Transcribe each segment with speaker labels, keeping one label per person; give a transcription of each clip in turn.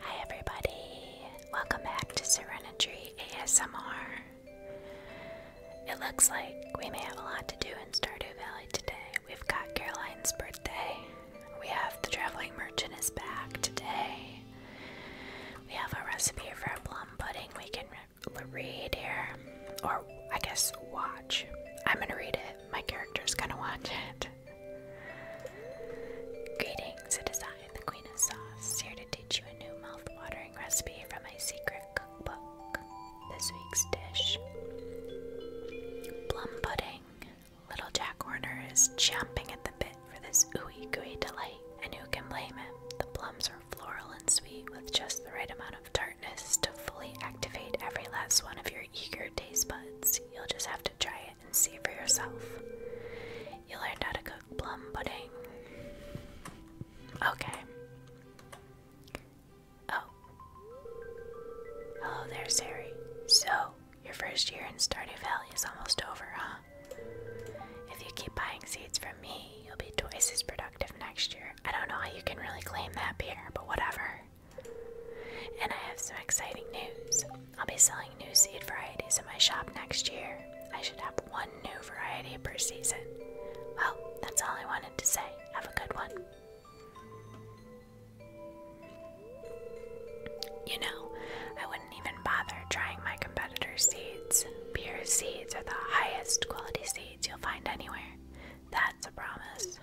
Speaker 1: Hi, everybody. Welcome back to Serenity ASMR. It looks like we may have a lot to do in Stardew Valley today. We've got Caroline's birthday. We have the traveling merchant is back today. We have a recipe for a plum pudding we can read here, or I guess watch. I'm gonna read it. My character's gonna watch it. Greetings, it is the Queen of Sauce, here to teach you a new mouth-watering recipe from my secret cookbook. This week's dish, plum pudding. Little Jack Horner is champing at the bit for this ooey gooey delight, and who can blame him? The plums are floral and sweet with just the right amount of tartness to fully activate every last one of your eager taste buds. You'll just have to try it and see for yourself. You learned how to cook plum pudding. Okay. Oh. Hello there, Sari. So, your first year in Stardew Valley is almost over, huh? If you keep buying seeds from me, you'll be twice as productive next year. I don't know how you can really claim that, Pierre, but whatever. And I have some exciting news. I'll be selling new seed varieties in my shop next year. I should have one new variety per season. Well, that's all I wanted to say. Have a good one. You know, I wouldn't even bother trying my competitors' seeds. Pure seeds are the highest quality seeds you'll find anywhere. That's a promise.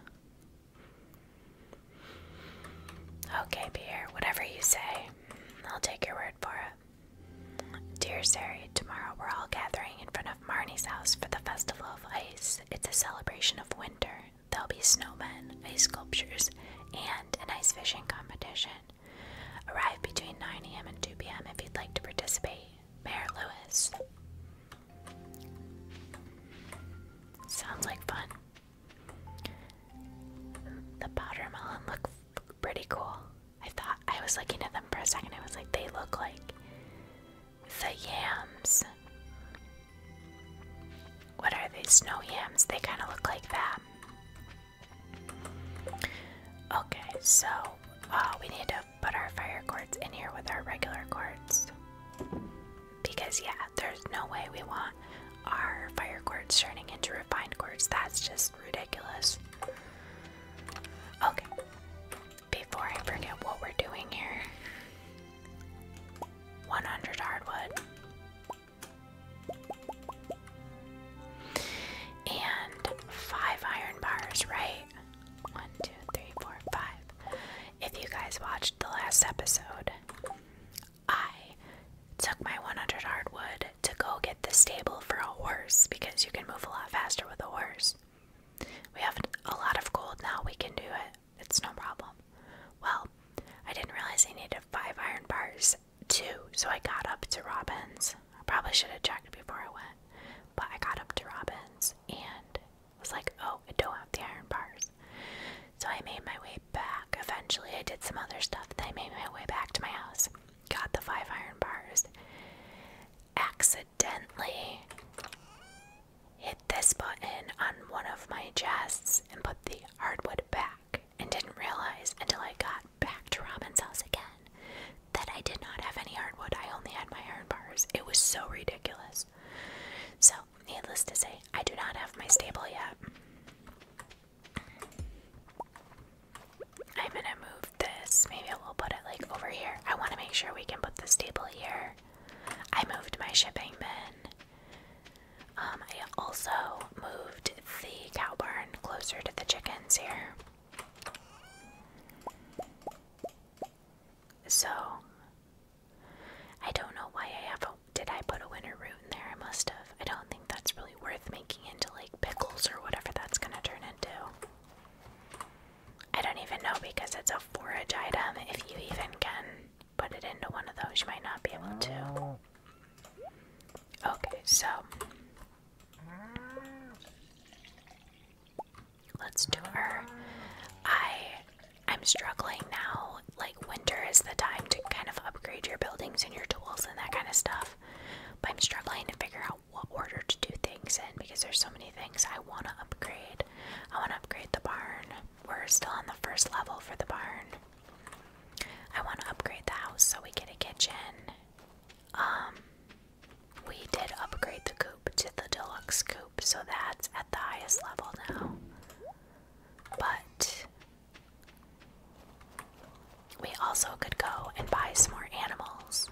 Speaker 1: Okay, Pierre, whatever you say, I'll take your word for it. Dear Sari, tomorrow we're all gathering in front of Marnie's house for the Festival of Ice. It's a celebration of winter. There'll be snowmen, ice sculptures, and an ice fishing competition. Arrive between 9 a.m. and 2 p.m. if you'd like to participate. Mayor Lewis. Sounds like fun. The powder melon look pretty cool. I thought I was looking at them for a second. I was like, they look like the yams. What are these Snow yams. They kind of look like that. Okay, so uh, we need to put our fire cords in here with our regular cords. Because, yeah, there's no way we want our fire quartz turning into refined quartz. That's just ridiculous. Okay. Before I forget what we're doing here 100 hardwood. And five iron bars, right? One, two, three, four, five. If you guys watched the last episode, I took my 100 hardwood to go get the stable for a horse because you can move a lot faster with a horse. We have a lot of gold now, we can do it. It's no problem. Well, I didn't realize I needed five iron bars too, so I got up to Robin's. I probably should have checked before I went, but I got up to Robin's and was like, oh, I don't have the iron bars. So I made my way back. Eventually, I did some other stuff. Then I made my way back to my house. Got the five iron bars. Accidentally hit this button on one of my chests and put the hardwood back. And didn't realize until I got back to Robin's house again that I did not have any hardwood. I only had my iron bars. It was so ridiculous. So needless to say, I do not have my stable yet. I'm gonna move this. Maybe we'll put it like over here. I want to make sure we can put the stable here. I moved my shipping bin. Um, I also moved the cow barn closer to the chickens here. So I don't know why I have a. Did I put a winter root in there? I must have. I don't think that's really worth making into like pickles or whatever that's gonna turn into. I don't even know because it's a forage item. If you even can put it into one of those, you might not be able to. Okay, so. Let's do her. I I'm struggling now. Like, winter is the time to kind of upgrade your buildings and your tools and that kind of stuff. But I'm struggling to figure out what order to do things in because there's so many things I want to upgrade. I want to upgrade the barn. We're still on the first level for the barn. I want to upgrade the house so we get a kitchen. Um, we did upgrade the coop to the deluxe coop, so that's at the highest level now. But we also could go and buy some more animals.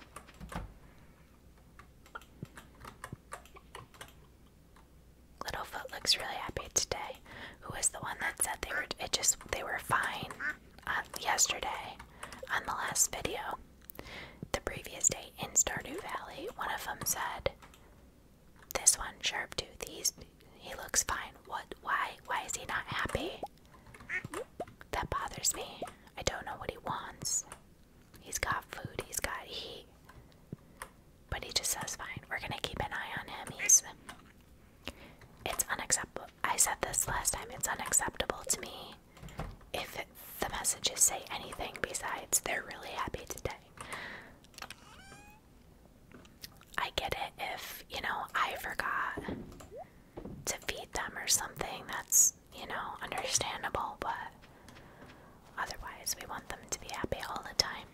Speaker 1: Littlefoot looks really happy today. Who was the one that said they were it just they were fine uh, yesterday on the last video? The previous day in Stardew Valley, one of them said this one, sharp tooth. He's he looks fine. What? Why? Why is he not happy? That bothers me. I don't know what he wants. He's got food. He's got heat. But he just says fine. We're gonna keep an eye on him. He's. It's unacceptable. I said this last time. It's unacceptable to me if the messages say anything besides they're really happy today. I get it if, you know, I forgot to feed them or something. That's, you know, understandable, but otherwise, we want them to be happy all the time.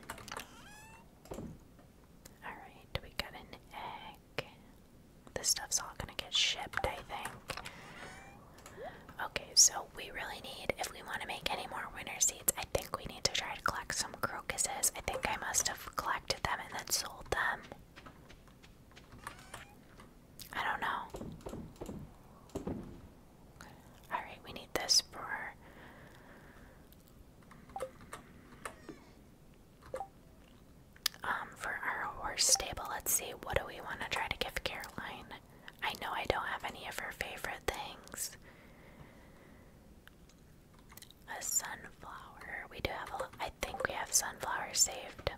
Speaker 1: Alright, we got an egg. This stuff's all gonna get shipped, I think. Okay, so we really need, if we want to make any more winter I think we need to try to collect some crocuses. I think I must have collected them and then sold them. I don't know. Alright, we need this for. Um, for our horse stable, let's see, what do we want to try to give Caroline? I know I don't have any of her favorite things. A sunflower. We do have a. I think we have sunflowers saved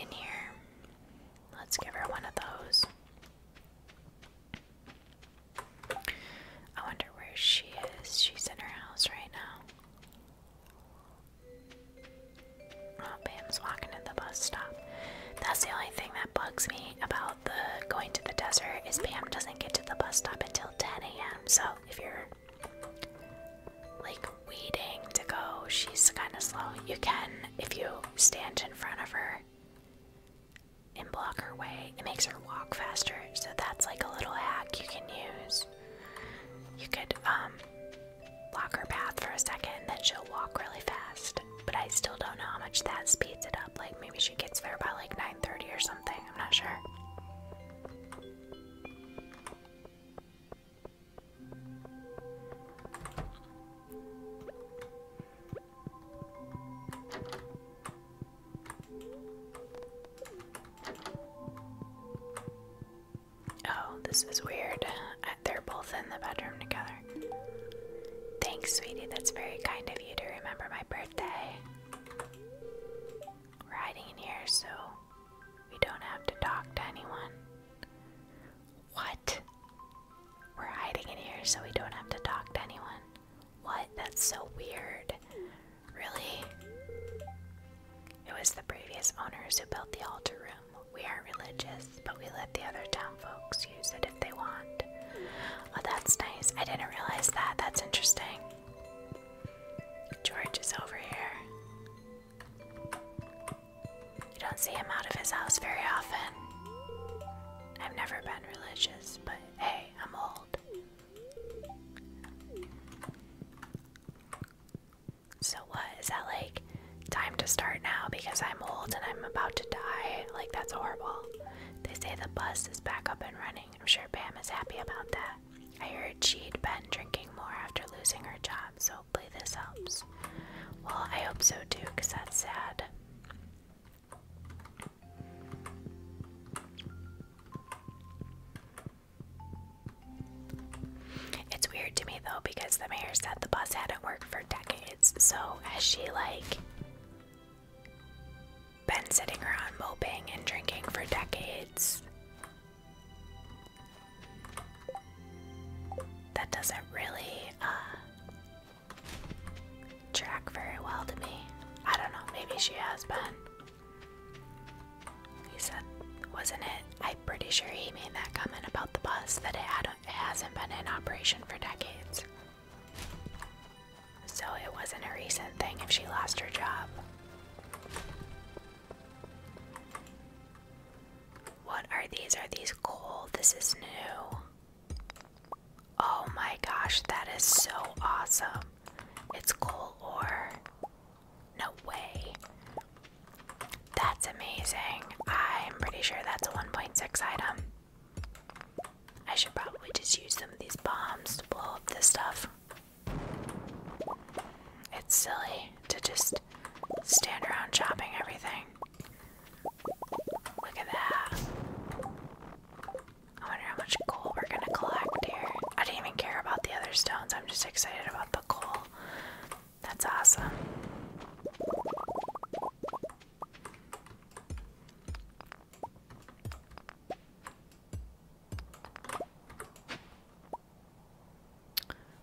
Speaker 1: in here. Let's give her one of those. I wonder where she is. She's in her house right now. Oh, Pam's walking at the bus stop. That's the only thing that bugs me about the going to the desert is Pam doesn't get to the bus stop until 10 a.m. So if you're like waiting to go, she's kind of slow. You can, if you stand in front of her and block her way, it makes her walk faster. So that's like a little hack you can use. You could um, block her path for a second, then she'll walk really fast but I still don't know how much that speeds it up. Like maybe she gets there by like 9:30 or something. I'm not sure. Oh, this is weird. They're both in the bedroom together. Thanks, sweetie. That's very kind of you to remember my birthday. We're hiding in here so we don't have to talk to anyone. What? We're hiding in here so we don't have to talk to anyone. What? That's so weird. Really? It was the previous owners who built the altar room. We are religious, but we let the other town folks use it if they want. Well, oh, that's nice. I didn't realize that. That's interesting. George is over here. You don't see him out of his house very often. I've never been religious, but hey, I'm old. So, what is that like? Time to start now because I'm old and I'm about to die. Like, that's horrible. They say the bus is back up and running. I'm sure Pam is happy about that. I heard she'd been drinking more after losing her job, so hopefully this helps. Well, I hope so too, because that's sad. It's weird to me though, because the mayor said the bus hadn't worked for decades. So, has she like been sitting around moping and drinking for decades. That doesn't really uh, track very well to me. I don't know, maybe she has been. He said, wasn't it? I'm pretty sure he made that comment about the bus that it, it hasn't been in operation for decades. So it wasn't a recent thing if she lost her job. What are these? Are these coal? This is new. Oh my gosh, that is so awesome. It's coal ore. No way. That's amazing. I'm pretty sure that's a 1.6 item. I should probably just use some of these bombs to blow up this stuff. It's silly to just stand around chopping everything. Look at that. I wonder how much coal we're gonna collect here. I didn't even care about the other stones, I'm just excited about the coal. That's awesome.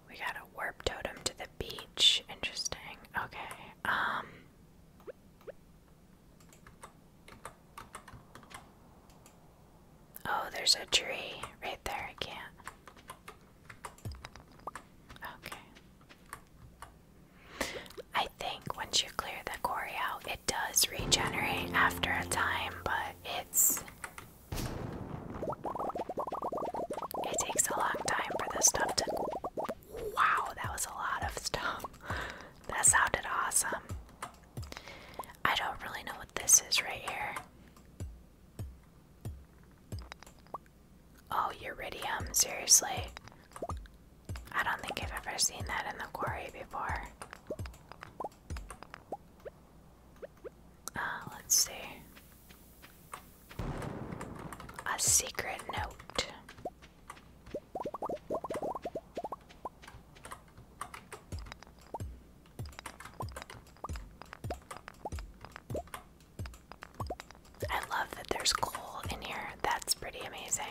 Speaker 1: We got a warp totem to the beach. Interesting. Okay. Um Oh, there's a tree right there. I can't. Okay. I think once you clear the quarry out, it does regenerate after a time, but it's. It takes a long time for the stuff to. Wow, that was a lot of stuff. That sounded awesome. I don't really know what this is right here. Oh, uridium, seriously. I don't think I've ever seen that in the quarry before. Uh, let's see. A secret note. I love that there's coal in here. That's pretty amazing.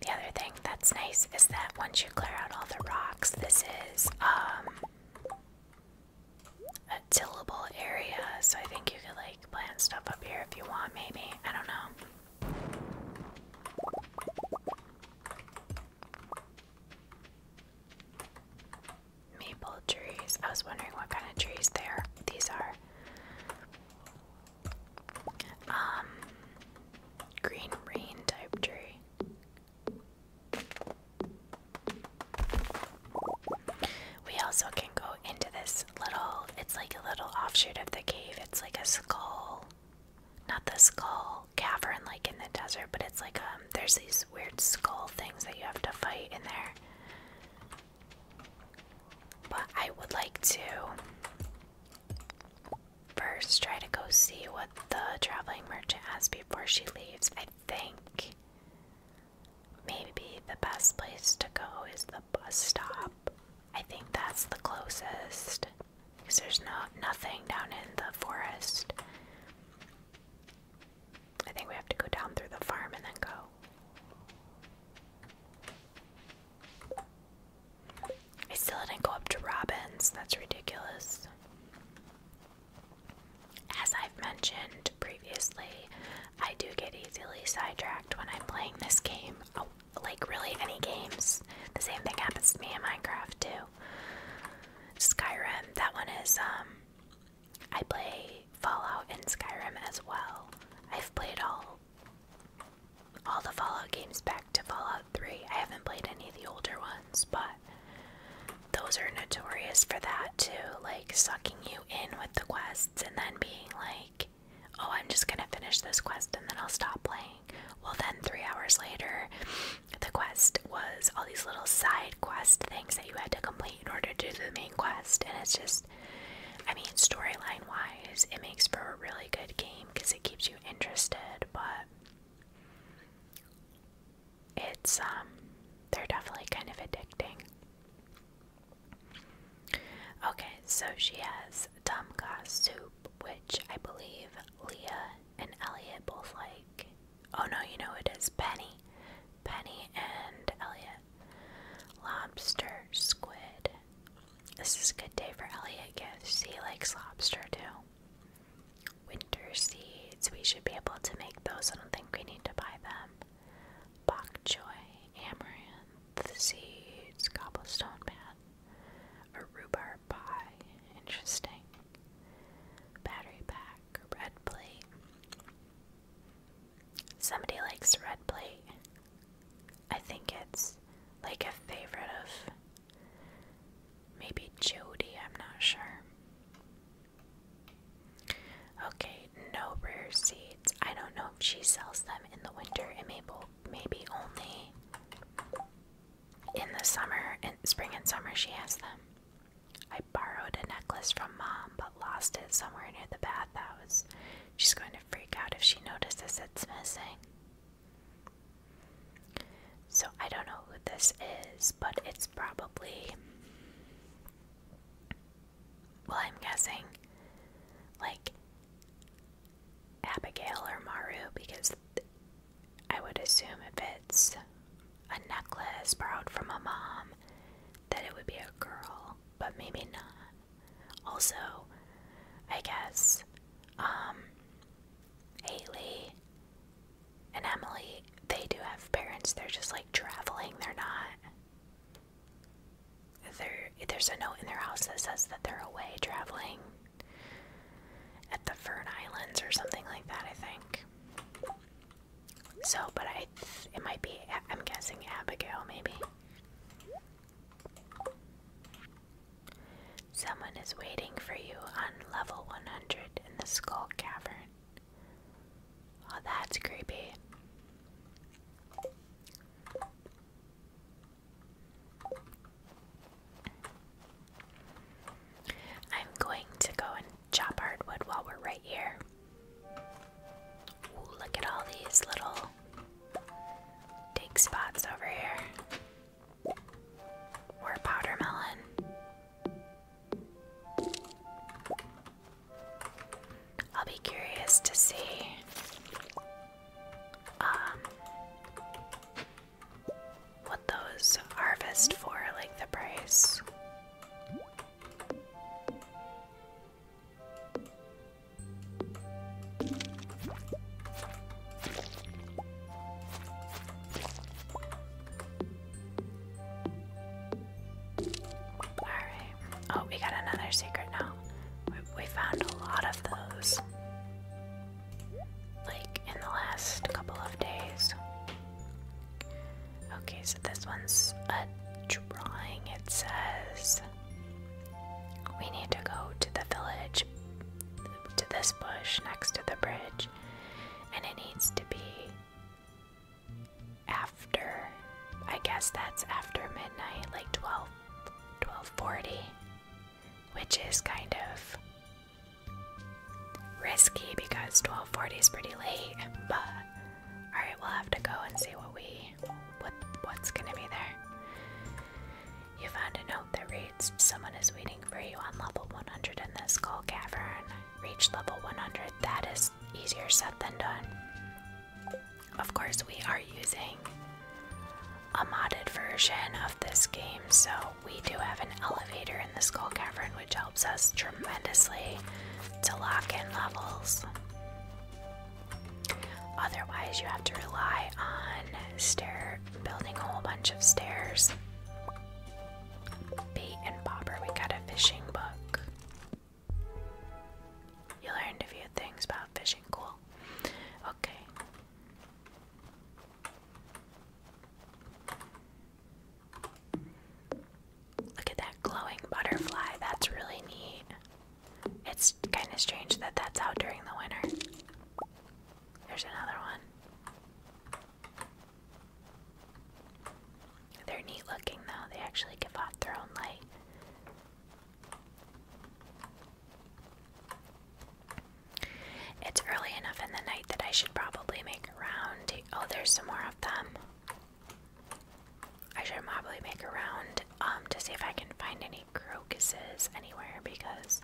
Speaker 1: The other thing that's nice is that once you clear out all the rocks, this is um, a tillable area, so I think you could like plant stuff up here if you want, maybe. I don't know. Maple trees. I was wondering what kind of trees there. These are. Um, green rain type tree. We also can go into this little, it's like a little offshoot of the cave. It's like a skull, not the skull cavern like in the desert, but it's like, um, there's these weird skull things that you have to fight in there. But I would like to first try to go see what the traveling merchant has before she leaves. I think maybe the best place to go is the bus stop. I think that's the closest because there's no nothing down in the forest. I think we have to go down through the farm and then go. I still didn't go up to Robin's. That's ridiculous. As I've mentioned previously, I do get easily sidetracked when I'm playing this game. Oh, like really any games. The same thing happens to me in Minecraft too. Skyrim, that one is um, I play Fallout and Skyrim as well. I've played all all the Fallout games back to Fallout 3. I haven't played any of the older ones, but those are notorious for that too, like sucking you in with the quests and then being like, oh, I'm just gonna finish this quest and then I'll stop playing. Well, then three hours later, the quest was all these little side quest things that you had to complete in order to do the main quest, and it's just I mean, storyline wise, it makes for a really good game because it keeps you interested, but it's, um, they're definitely kind of addicting. Okay, so she has Dumka soup, which I believe Leah and Elliot both like. Oh no, you know it is Penny. Penny and Elliot lobster, squid. This is a good day for Elliot Gifts. He likes lobster too. Winter seeds. We should be able to make those. I don't think we need to buy them. Bok choy, amaranth seeds, cobblestone path, a rhubarb pie. Interesting. Battery pack, red plate. Somebody likes red plate. I think it's like a favorite of maybe Jody, I'm not sure. Okay, no rare seeds. I don't know if she sells them in the winter and maybe maybe only in the summer and spring and summer she has them. I borrowed a necklace from mom but lost it somewhere near the bathhouse. She's going to freak out if she notices it's missing. So I don't know who this is, but it's probably. Well, I'm guessing like Abigail or Maru because I would assume if it's a necklace borrowed from a mom that it would be a girl, but maybe not. Also, I guess, um, Haley and Emily, they do have parents. They're just like traveling. They're not. they there's a note in their house that says that they're away traveling at the Fern Islands or something like that, I think. So, but I, it might be, I'm guessing Abigail, maybe. Someone is waiting for you on level 100 in the Skull Cavern. Oh, that's creepy. I'm going to go and chop hardwood while we're right here look at all these little dig spots over here. Or powder melon. I'll be curious to see. Um, what those harvest for, like the price. Alright. Oh, we got another secret now. we found a lot of those. Like in the last couple of days. Okay, so this one's a drawing. It says we need to go to the village, to this bush next to the bridge, and it needs to be after, I guess that's after midnight, like 12, 1240, which is kind of risky because 1240 is pretty late, but alright, we'll have to go and see what we what's gonna be there. You found a note that reads, Someone is waiting for you on level 100 in the Skull Cavern. Reach level 100. That is easier said than done. Of course, we are using a modded version of this game, so we do have an elevator in the Skull Cavern, which helps us tremendously to lock in levels. Otherwise, you have to rely on stair building a whole bunch of stairs. Bait and bobber, we got a fishing book. You learned a few things about fishing, cool. Okay. Look at that glowing butterfly, that's really neat. It's kind of strange that that's out during the winter. There's another one. They're neat looking though, they actually give off their own light. It's early enough in the night that I should probably make a round. Oh, there's some more of them. I should probably make a round um, to see if I can find any crocuses anywhere because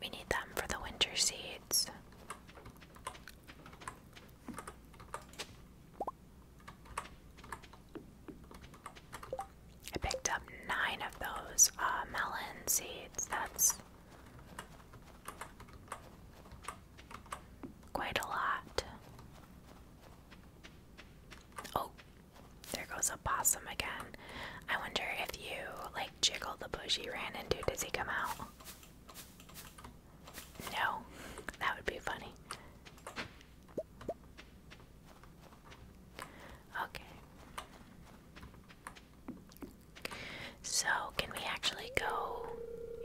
Speaker 1: we need them for the winter seeds. I picked up nine of those uh, melon seeds. That's Quite a lot. Oh, there goes a possum again. I wonder if you like jiggle the bush he ran into. Does he come out? No, that would be funny. Okay. So, can we actually go?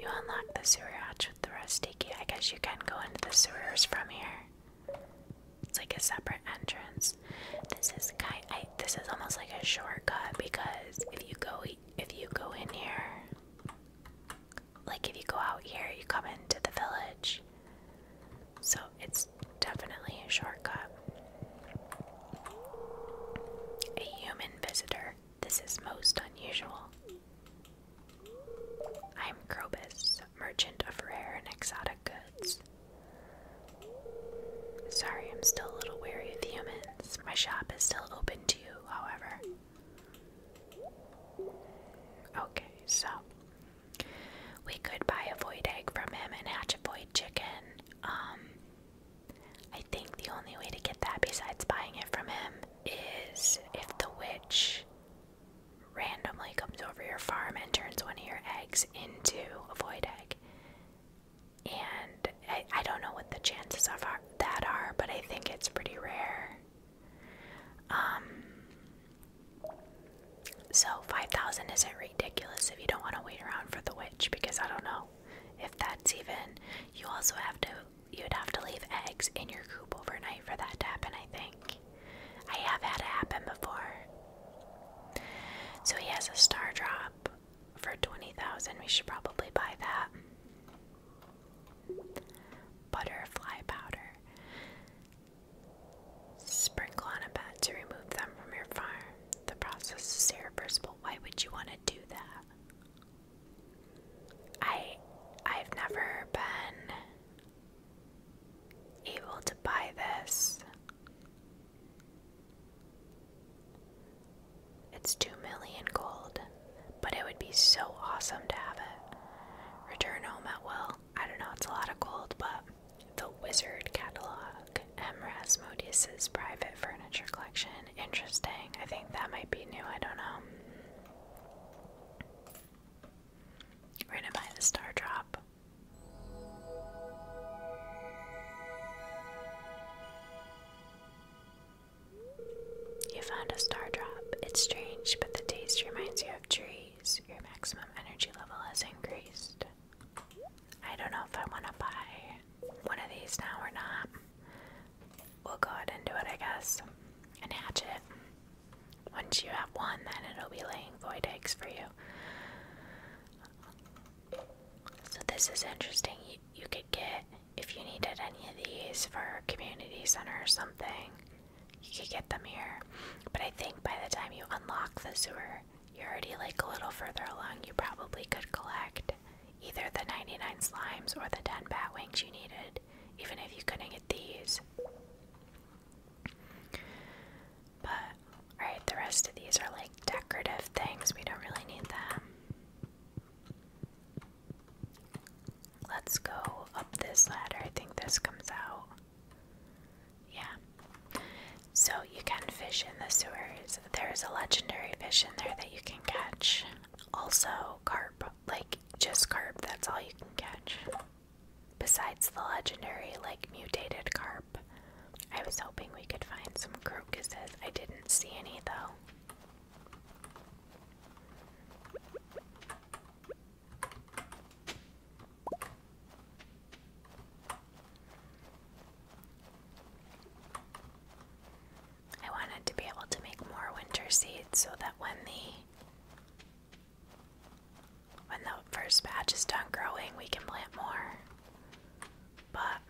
Speaker 1: You unlock the sewer hatch with the Rustiki. I guess you can go into the sewers from here. It's like a separate entrance. This is kind. I, this is almost like a shortcut because if you go, if you go in here, like if you go out here, you come into the village. So it's definitely a shortcut. A human visitor. This is most unusual. I am Krobus, merchant of rare and exotic goods. Sorry, I'm still a little wary of humans. My shop is still open to you, however. Okay, so we could buy a void egg from him and hatch a void chicken. Um I think the only way to get that besides buying it from him is if the witch randomly comes over your farm and turns one of your eggs into a void egg. And I, don't know what the chances of that are, but I think it's pretty rare. Um, so 5,000 isn't ridiculous if you don't want to wait around for the witch, because I don't know if that's even. You also have to you'd have to leave eggs in your coop overnight for that to happen, I think. I have had it happen before. So he has a star drop for 20,000. We should probably buy that. Butterfly powder. Sprinkle on a bat to remove them from your farm. The process is irreversible. Why would you want to do that? I I've never been able to buy this. It's 2 million gold, but it would be so awesome to have it. Return home at will. I don't know, it's a lot of gold, but the Wizard Catalog, M. Rasmodius's private furniture collection. Interesting. I think that might be new. I don't know. We're gonna buy the star drop. You found a star drop. It's strange, but the taste reminds you of trees. Your maximum energy level has increased. I don't know if I want to buy one of these now or not we'll go ahead and do it, I guess, and hatch it. Once you have one, then it'll be laying void eggs for you. So this is interesting. You, could get, if you needed any of these for community center or something, you could get them here. But I think by the time you unlock the sewer, you're already like a little further along. You probably could collect either the 99 slimes or the 10 bat wings you needed even if you couldn't get these. But, alright, the rest of these are like decorative things. We don't really need them. Let's go up this ladder. I think this comes out. Yeah. So, you can fish in the sewers. There is a legendary fish in there that you can catch. Also, carp like just carp, that's all you can catch. Besides the legendary, like mutated carp. I was hoping we could find some crocuses. I didn't see any though. I wanted to be able to make more winter seeds so that when the when the first batch is done growing, we can plant more. But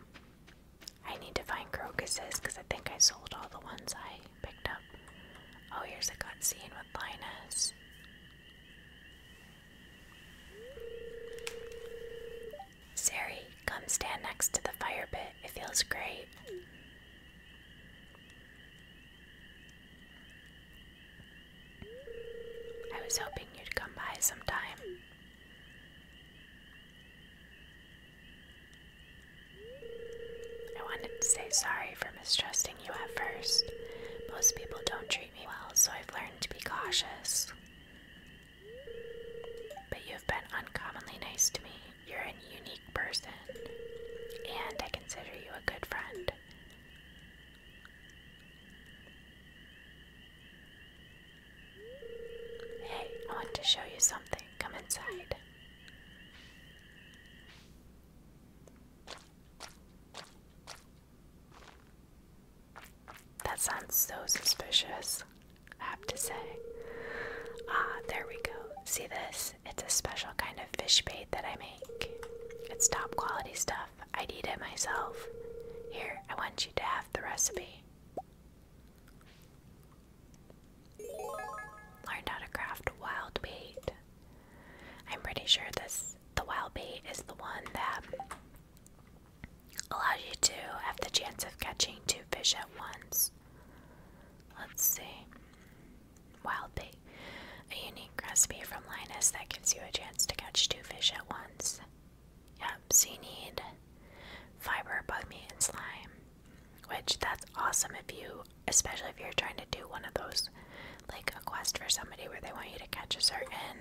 Speaker 1: I need to find crocuses because I think I sold all the ones I picked up. Oh, here's a good cutscene with Linus. Sari, come stand next to the fire pit. It feels great. I was hoping you'd come by sometime. I wanted to say sorry for mistrusting you at first. Most people don't treat me well, so I've learned to be cautious. But you've been uncommonly nice to me, you're a unique person, and I consider you a good friend. Hey, I want to show you something. Come inside. That sounds so suspicious, I have to say. Ah, there we go. See this? It's a special kind of fish bait that I make. It's top quality stuff. I'd eat it myself. Here, I want you to have the recipe. Learn how to craft wild bait. I'm pretty sure this the wild bait is the one that allows you to have the chance of catching two fish at once. Let's see. Wild bait. A unique recipe from Linus that gives you a chance to catch two fish at once. Yep, so you need fiber, bug and slime. Which, that's awesome if you, especially if you're trying to do one of those, like a quest for somebody where they want you to catch a certain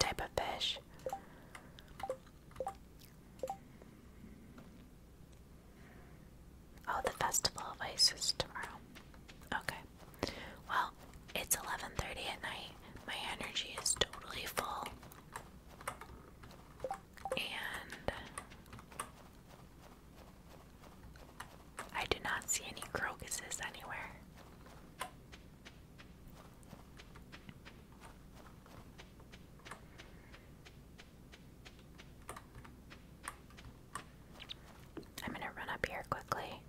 Speaker 1: type of fish. Oh, the Festival of Ice is tomorrow. Okay. Well, it's 11:30 at night. My energy is totally full. And I do not see any crocuses anywhere. I'm gonna run up here quickly.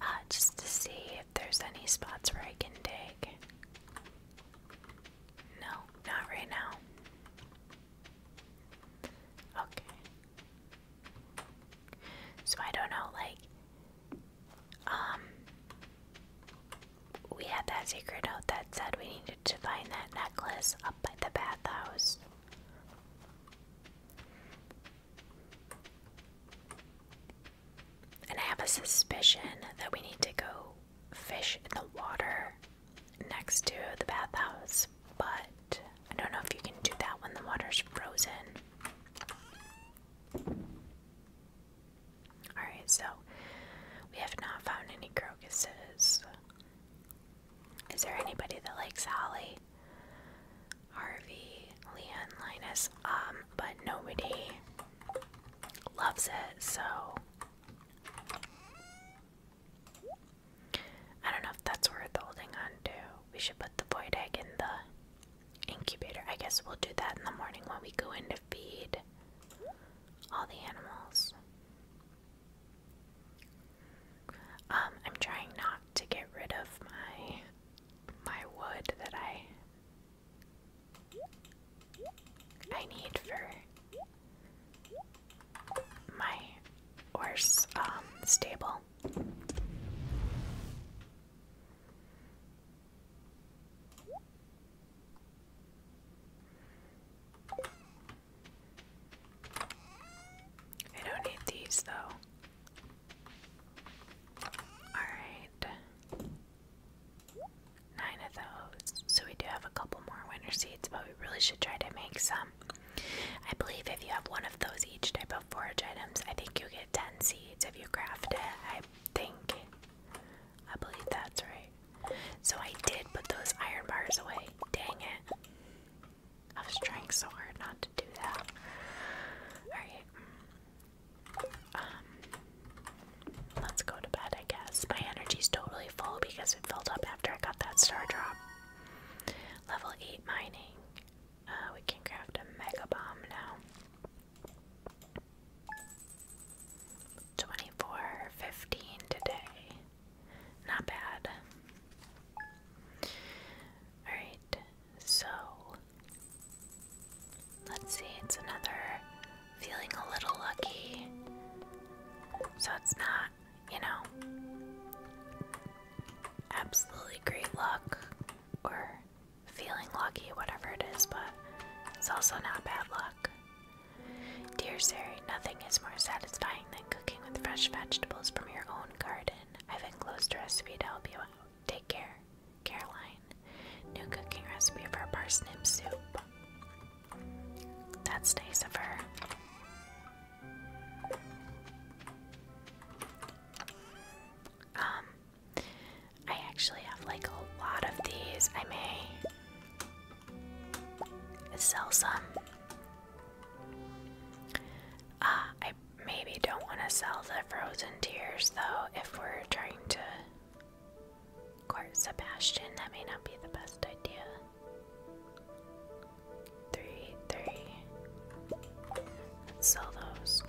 Speaker 1: Uh, just to see if there's any spots where I can dig. No, not right now. Okay. So I don't know, like, um, we had that secret note that said we to find that necklace up at the bathhouse. And I have a suspicion that we need to go fish in the water next to the bathhouse, but I don't know if you can do that when the water's frozen. Alright, so we have not found any crocuses. Is there anybody that likes Holly? Harvey, Leon, Linus, um, but nobody loves it, so I don't know if that's worth holding on to. We should put the void egg in the incubator. I guess we'll do that in the morning when we go in to feed all the animals. Um, I'm trying not to get rid of my my wood that I I need for my horse um, stable. I don't need these though. Alright. Nine of those. So we do have a couple more winter seeds, but we really should try to make some. I believe if you have one of those each type of forage items, I think you get 10 seeds if you craft it. I think. I believe that's right. So I did put those iron bars away. Dang it. I was trying so hard not to do that. Alright. Um, let's go to bed, I guess. My energy's totally full because it filled up after I got that star drop. Level 8 mining. Uh, we can craft a mega bomb now. 24.15 today. Not bad. Alright, so let's see, it's another feeling a little lucky. So it's not, you know, absolutely great luck or feeling lucky, whatever it is, but it's also not bad luck. Dear Sari, nothing is more satisfying than cooking with fresh vegetables from your own garden. I've enclosed a recipe to help you out. Take care, Caroline. New cooking recipe for parsnip soup. That's nice of her. Um, I actually have like a lot of these. I may sell some. Ah, I maybe don't want to sell the frozen tears though if we're trying to court Sebastian. That may not be the best idea. Three, sell those.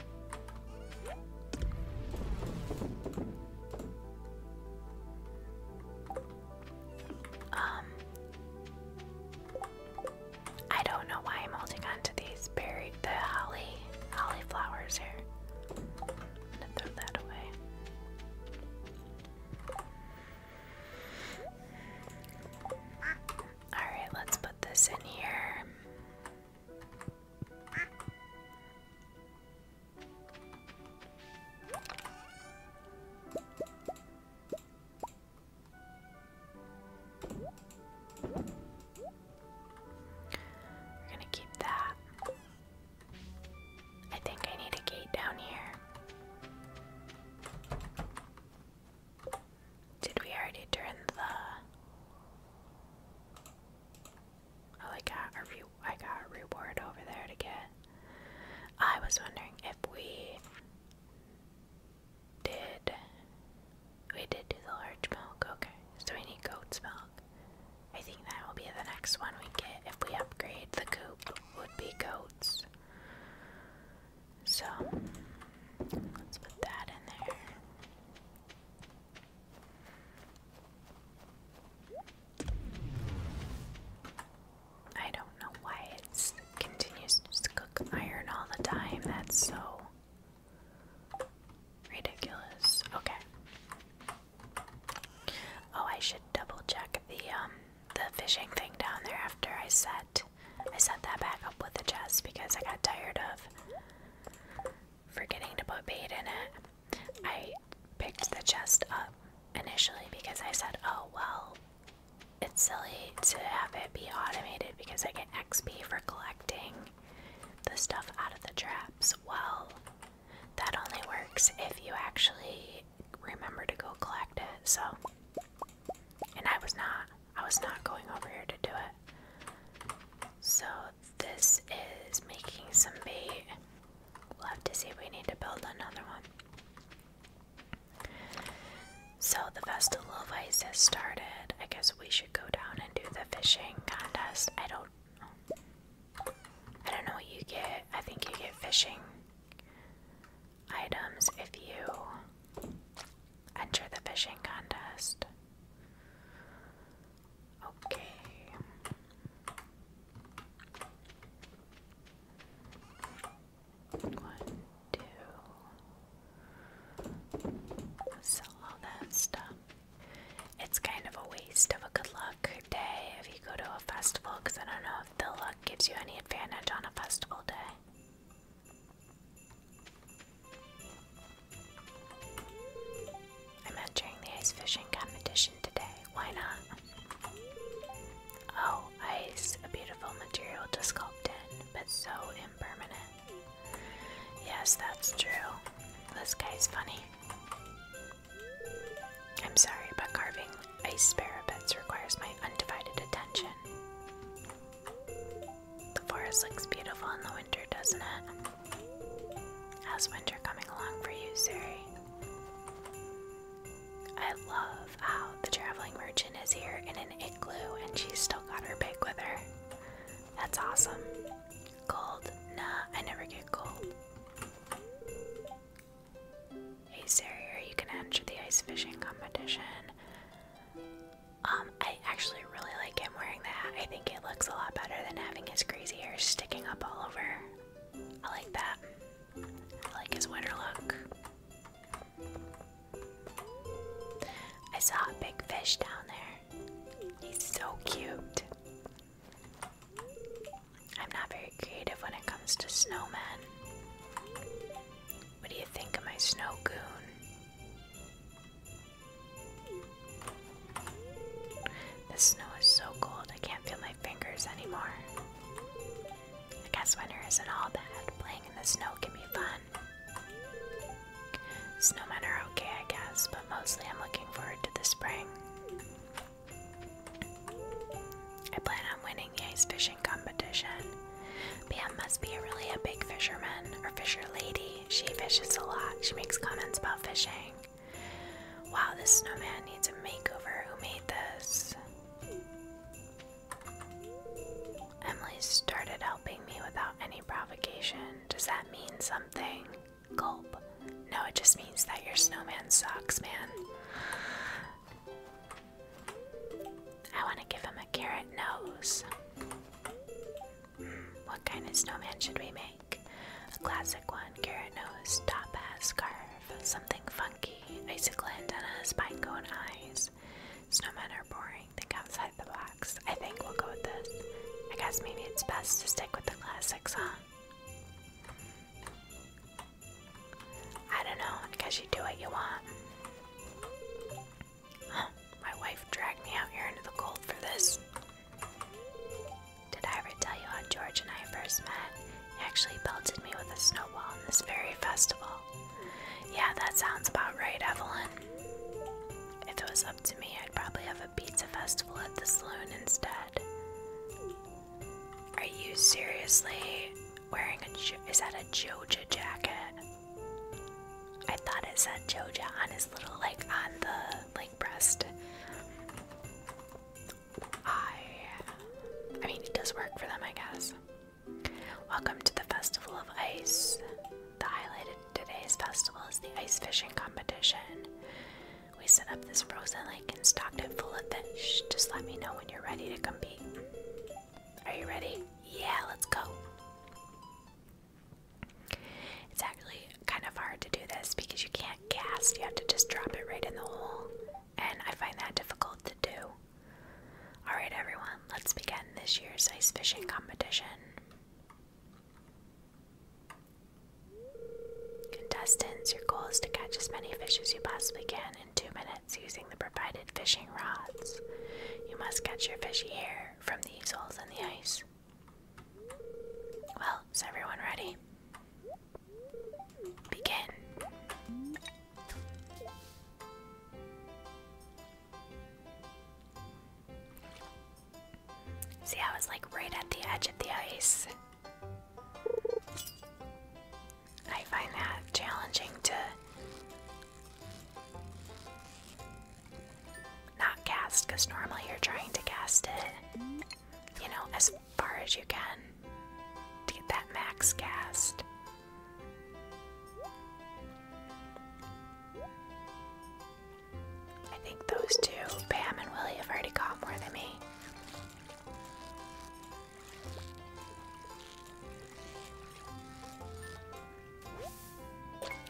Speaker 1: Um, I don't know why I'm holding on to these buried the holly, holly flowers here. I'm gonna throw that away. Alright, let's put this in here. We're gonna keep that. I think I need a gate down here. Did we already turn the. Oh, I got a re I got reward over there to get. I was wondering if we did we did do the large milk, okay. So we need goat's milk. I think that will be the next one we get if we upgrade the coop would be goats. So let's put that in there. I don't know why it continues to cook iron all the time. That's so ridiculous. Okay. Oh, I should double check the um the fishing thing down there after I set I set that back up with the chest because I got tired of forgetting to put bait in it. I picked the chest up initially because I said, "Oh well, it's silly to have it be automated because I get XP for collecting the stuff out of the traps. Well, that only works if you actually remember to go collect it, so. And I was not. I was not going over here to do it. So this is making some bait. We'll have to see if we need to build another one. So the Festival of Ice has started. I guess we should go down and do the fishing contest. I don't I don't know what you get. I think you get fishing items if you enter the fishing contest. Okay. One, two. Sell all that stuff. It's kind of a waste of a good luck day if you go to a festival because I don't know if the luck gives you any advantage on a festival day. I'm entering the ice fishing competition today why not? Oh, ice, a beautiful material to sculpt in, but so impermanent. Yes, that's true. This guy's funny. I'm sorry, but carving ice parapets requires my undivided attention. The forest looks beautiful in the winter, doesn't it? How's winter coming along for you, Sari? I love how the traveling merchant is here in an igloo and she's still got her bag with her. That's awesome. Gold? Nah, I never get gold. Hey Sarrier, you can enter the ice fishing competition. Um, I actually really like him wearing the hat. I think it looks a lot better than having his crazy hair sticking up all over. I like that. I like his winter look. I saw a big fish down there. He's so cute. I'm not very creative when it comes to snowmen. What do you think of my snow goon? The snow is so cold I can't feel my fingers anymore. I guess winter isn't all bad. Playing in the snow can be fun. Snowmen are okay, I guess, but mostly I'm looking forward to the spring. I plan on winning the ice fishing competition. Pam must be really a big fisherman or fisher lady. She fishes a lot. She makes comments about fishing. Wow, this snowman needs a makeover. Who made this? Emily started helping me without any provocation. Does that mean something? Gulp. No, it just means that your snowman sucks, man. I want to give him a carrot nose. What kind of snowman should we make? A classic one, carrot nose, top hat scarf something funky, icicle antennas, pinecone eyes. Snowmen are boring, think outside the box. I think we'll go with this. I guess maybe it's best to stick with the classics, huh? I don't know, because you do what you want. my wife dragged me out here into the cold for this. Did I ever tell you how George and I first met? He actually pelted me with a snowball in this very festival. Yeah, that sounds about right, Evelyn. If it was up to me, I'd probably have a pizza festival at the saloon instead. Are you seriously wearing a is that a Joja jacket? I thought it said Joja on his little like on the like breast. I I mean it does work for them I guess. Welcome to the Festival of Ice. The highlight today's festival is the ice fishing competition. We set up this frozen lake and stocked it full of fish. Just let me know when you're ready to compete. Are you ready? Yeah, let's go. It's actually kind of hard to do this because you can't cast, you have to just drop it right in the hole. And I find that difficult to do. Alright, everyone, let's begin this year's ice fishing competition. Contestants, your goal is to catch as many fish as you possibly can in two minutes using the provided fishing rods. You must catch your fish here from these holes in the ice. Well, is everyone ready? Begin. See, I was like right at the edge of the ice. I find that challenging to not cast because normally you're trying to cast it, you know, as far as you can to get that max cast. I think those two, Pam and Willie, have already caught more than me.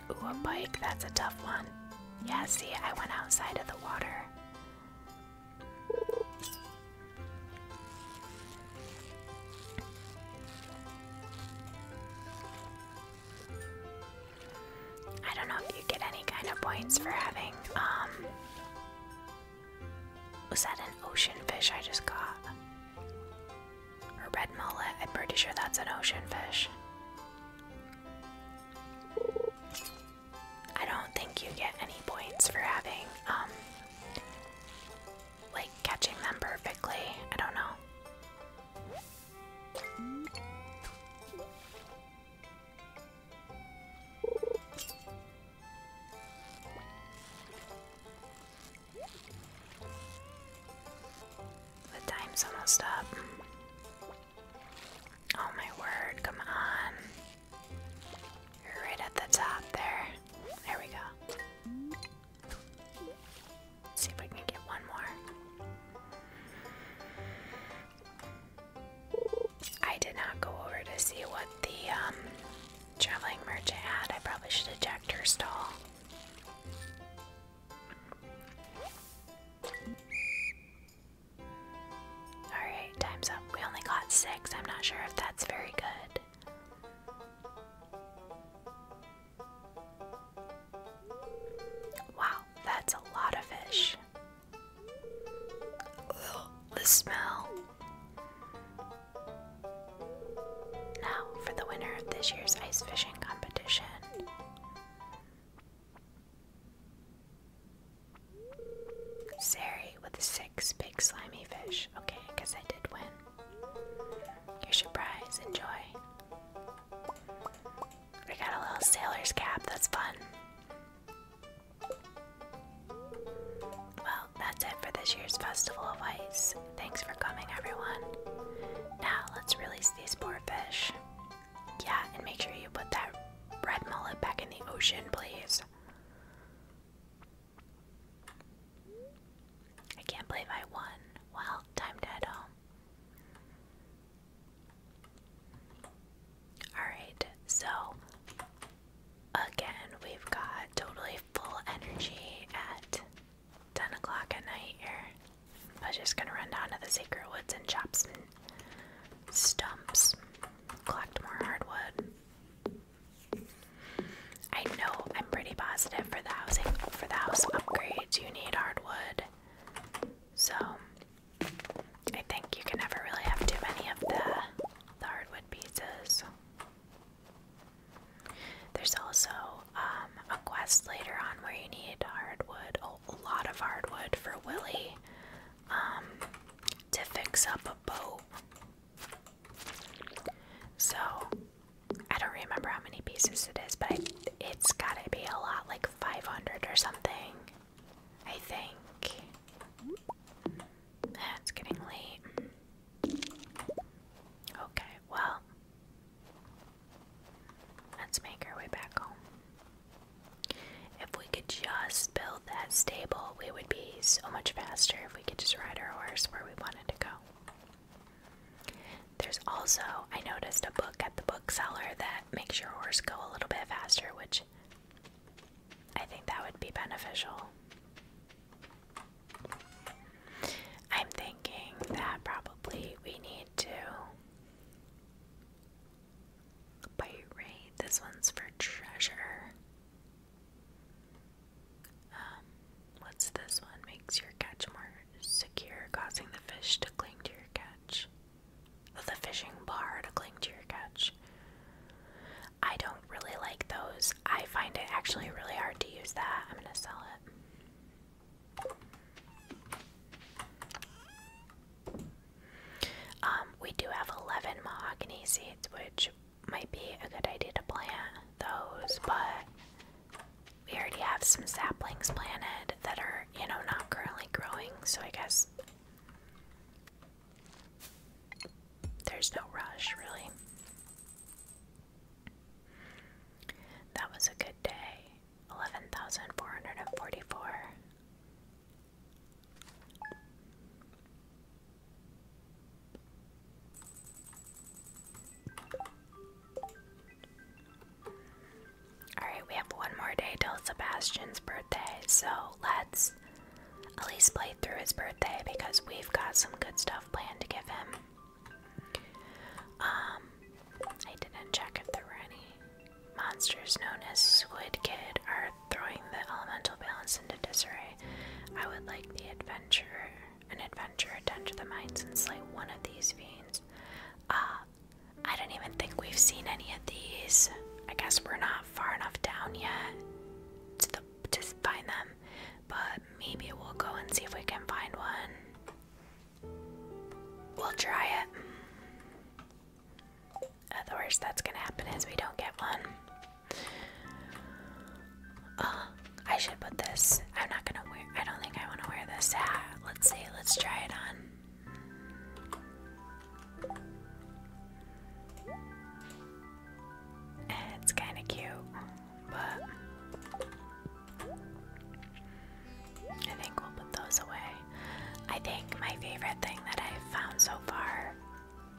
Speaker 1: Ooh, a bike, that's a tough one. Yeah, see, I went outside of the water. I don't know if you get any kind of points for having, um, was that an ocean fish I just caught? A red mullet? I'm pretty sure that's an ocean fish. I don't think you get any points for having, um, like catching them perfectly. I don't know. The time's almost up. Oh my word, come on. Right at the top there. There we go. see if we can get one more. I did not go over to see what the um, traveling merchant had. I probably should have her stall. Alright, time's up. We only got six. I'm not sure if that's very good. Wow, that's a lot of fish. the smell. Now, for the winner of this year's ice fishing competition. Sari with 6 big slimy fish. Okay, I guess I did win. your prize. Enjoy. We got a little sailor's cap. That's fun. Well, that's it for this year's Festival of Ice. Thanks for coming, everyone. Now, let's release these poor fish. Yeah, and make sure you put that red mullet back in the ocean, please. I can't believe I won. Well, time to head home. Alright, so again, we've got totally full energy at 10 o'clock at night here. I was just gonna run down to the Sacred Woods and chop some stumps, collect more hardwood. I know I'm pretty positive for the housing for the house upgrades you need hardwood. So I think you can never really have too many of the the hardwood pieces. There's also um, a quest later on where you need hardwood, a lot of hardwood for Willy um, to fix up a boat. So I don't remember how many pieces it is, but it's gotta be a lot, like 500 or something. I think. That's getting late. Okay, well, let's make our way back home. If we could just build that stable, we would be so much faster if we could just ride our horse where we to go. There's also, I noticed a book at the bookseller that makes your horse go a little bit faster, which I think that would be beneficial. I'm thinking that probably we need to by raid. This one's for treasure. Um, what's this one? Makes your catch more secure, causing the fish to cling to your catch. Oh, the fishing bar to cling to your catch. I don't really like those. I find it actually really hard to use that. I'm gonna sell it. Um, we do have 11 mahogany seeds, which might be a good idea to plant those, but we already have some saplings planted that are, you know, not currently growing, so I guess there's no rush, really. That was a good day. 11,444. Alright, we have one more day till Sebastian's birthday, so let's at least play through his birthday because we've got some good stuff planned to give him. Um, I didn't check if there were monsters known as Squid Kid are throwing the elemental balance into disarray. I would like the adventurer an adventure, attend the mines and slay one of these fiends. Ah, I don't even think we've seen any of these. I guess we're not far enough down yet to, find them, but maybe we'll go and see if we can find one. We'll try it. Otherwise, that's gonna happen is we don't get one. Uh, I should put this. I'm not gonna wear. I don't think I want to wear this hat. Let's see. Let's try it on. It's kind of cute, but I think we'll put those away. I think my favorite thing that i found so far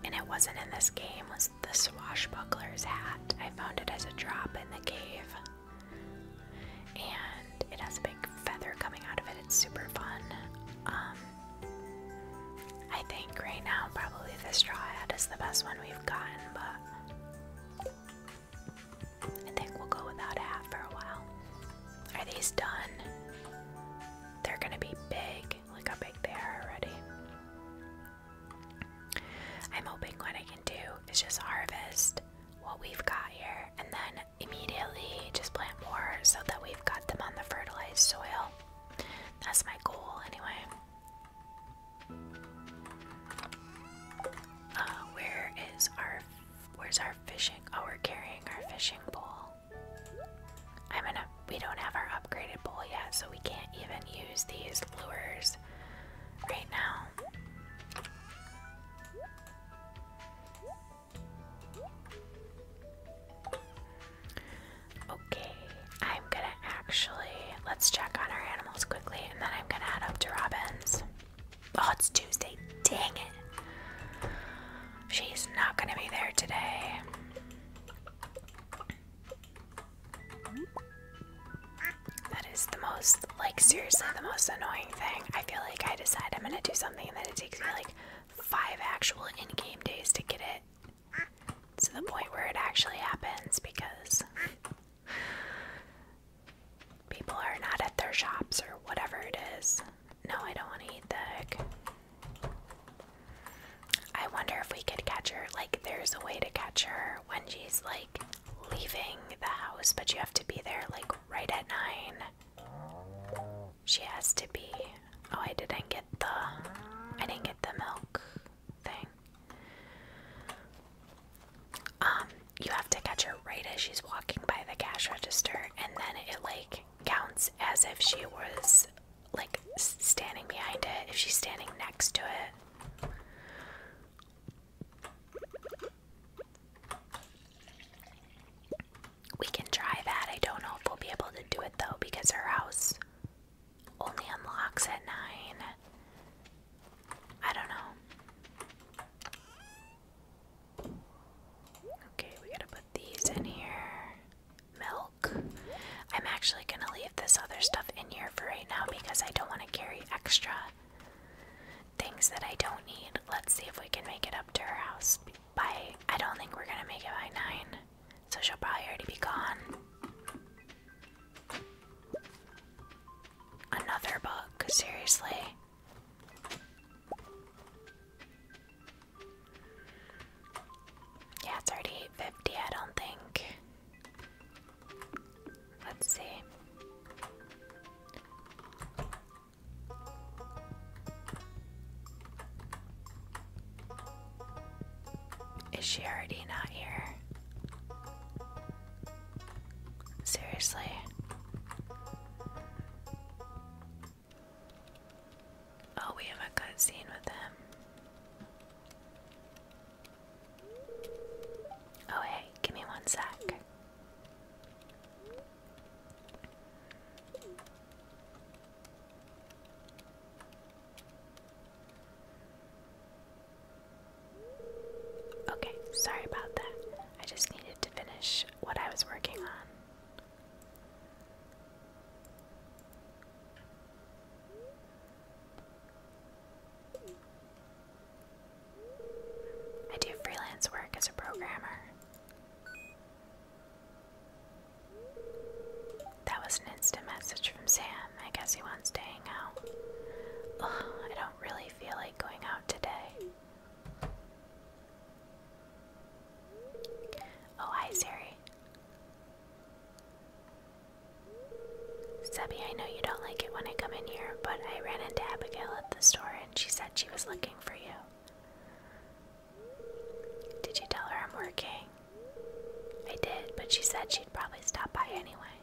Speaker 1: and it wasn't in this game, was the swashbuckler's hat. I found it as a drop in the cave. And it has a big feather coming out of it. It's super fun. Um, I think right now probably the straw hat is the best one we've gotten, but I think we'll go without a hat for a while. Are these done? They're gonna be big. Look how big they are already. I'm hoping what I can do is just harvest what we've got here and then immediately just plant more so that we've got them on the fertilized soil. That's my goal, anyway. Uh, where is our where's our fishing? Oh, we're carrying our fishing pole. I'm gonna we don't have our upgraded bowl yet, so we can't even use these lures right now. Okay, I'm gonna actually let's check on our animals quickly and then I'm gonna head up to Robin's. Oh, it's Tuesday. Dang it. She's not gonna be there today. That is the most, like, seriously, the most annoying thing. I feel like I decide I'm gonna do something and then it takes me, like, five actual in game days to get it to the point where it actually happens because people are not at their shops or whatever it is. No, I don't want to eat the I wonder if we could catch her. Like, there's a way to catch her when she's like leaving the house, but you have to be there like right at nine. She has to be. Oh, I didn't get the. I didn't get the milk thing. Um, you have to catch her right as she's walking by the cash register, and then it like counts as if she was like standing behind it, if she's standing next to it. We can try that. I don't know if we'll be able to do it though because her house only unlocks at 9. I don't know. Okay, we gotta put these in here. Milk? I'm actually going to leave this other stuff in here for right now because I don't want to carry extra things that I don't need. Let's see if we can make it up to her house by. I don't think we're going to make it by 9, so she'll probably already be gone. Another book, seriously. Yeah, it's already 850, I don't think. Let's see. Is she already not here? Seriously. Oh, we have a cutscene with him. Oh, hey, give me one sec. Okay, sorry about that. I just needed to finish what I was working on. I do freelance work as a programmer. That was an instant message from Sam. I guess he wants to hang out. I don't really feel like going out today. Oh, hi, Siri. Sebby, I know you don't like it when I come in here, but I ran into Abigail at the store and she said she was looking for you. Did you tell her I'm working? I did, but she said she'd probably stop by anyway.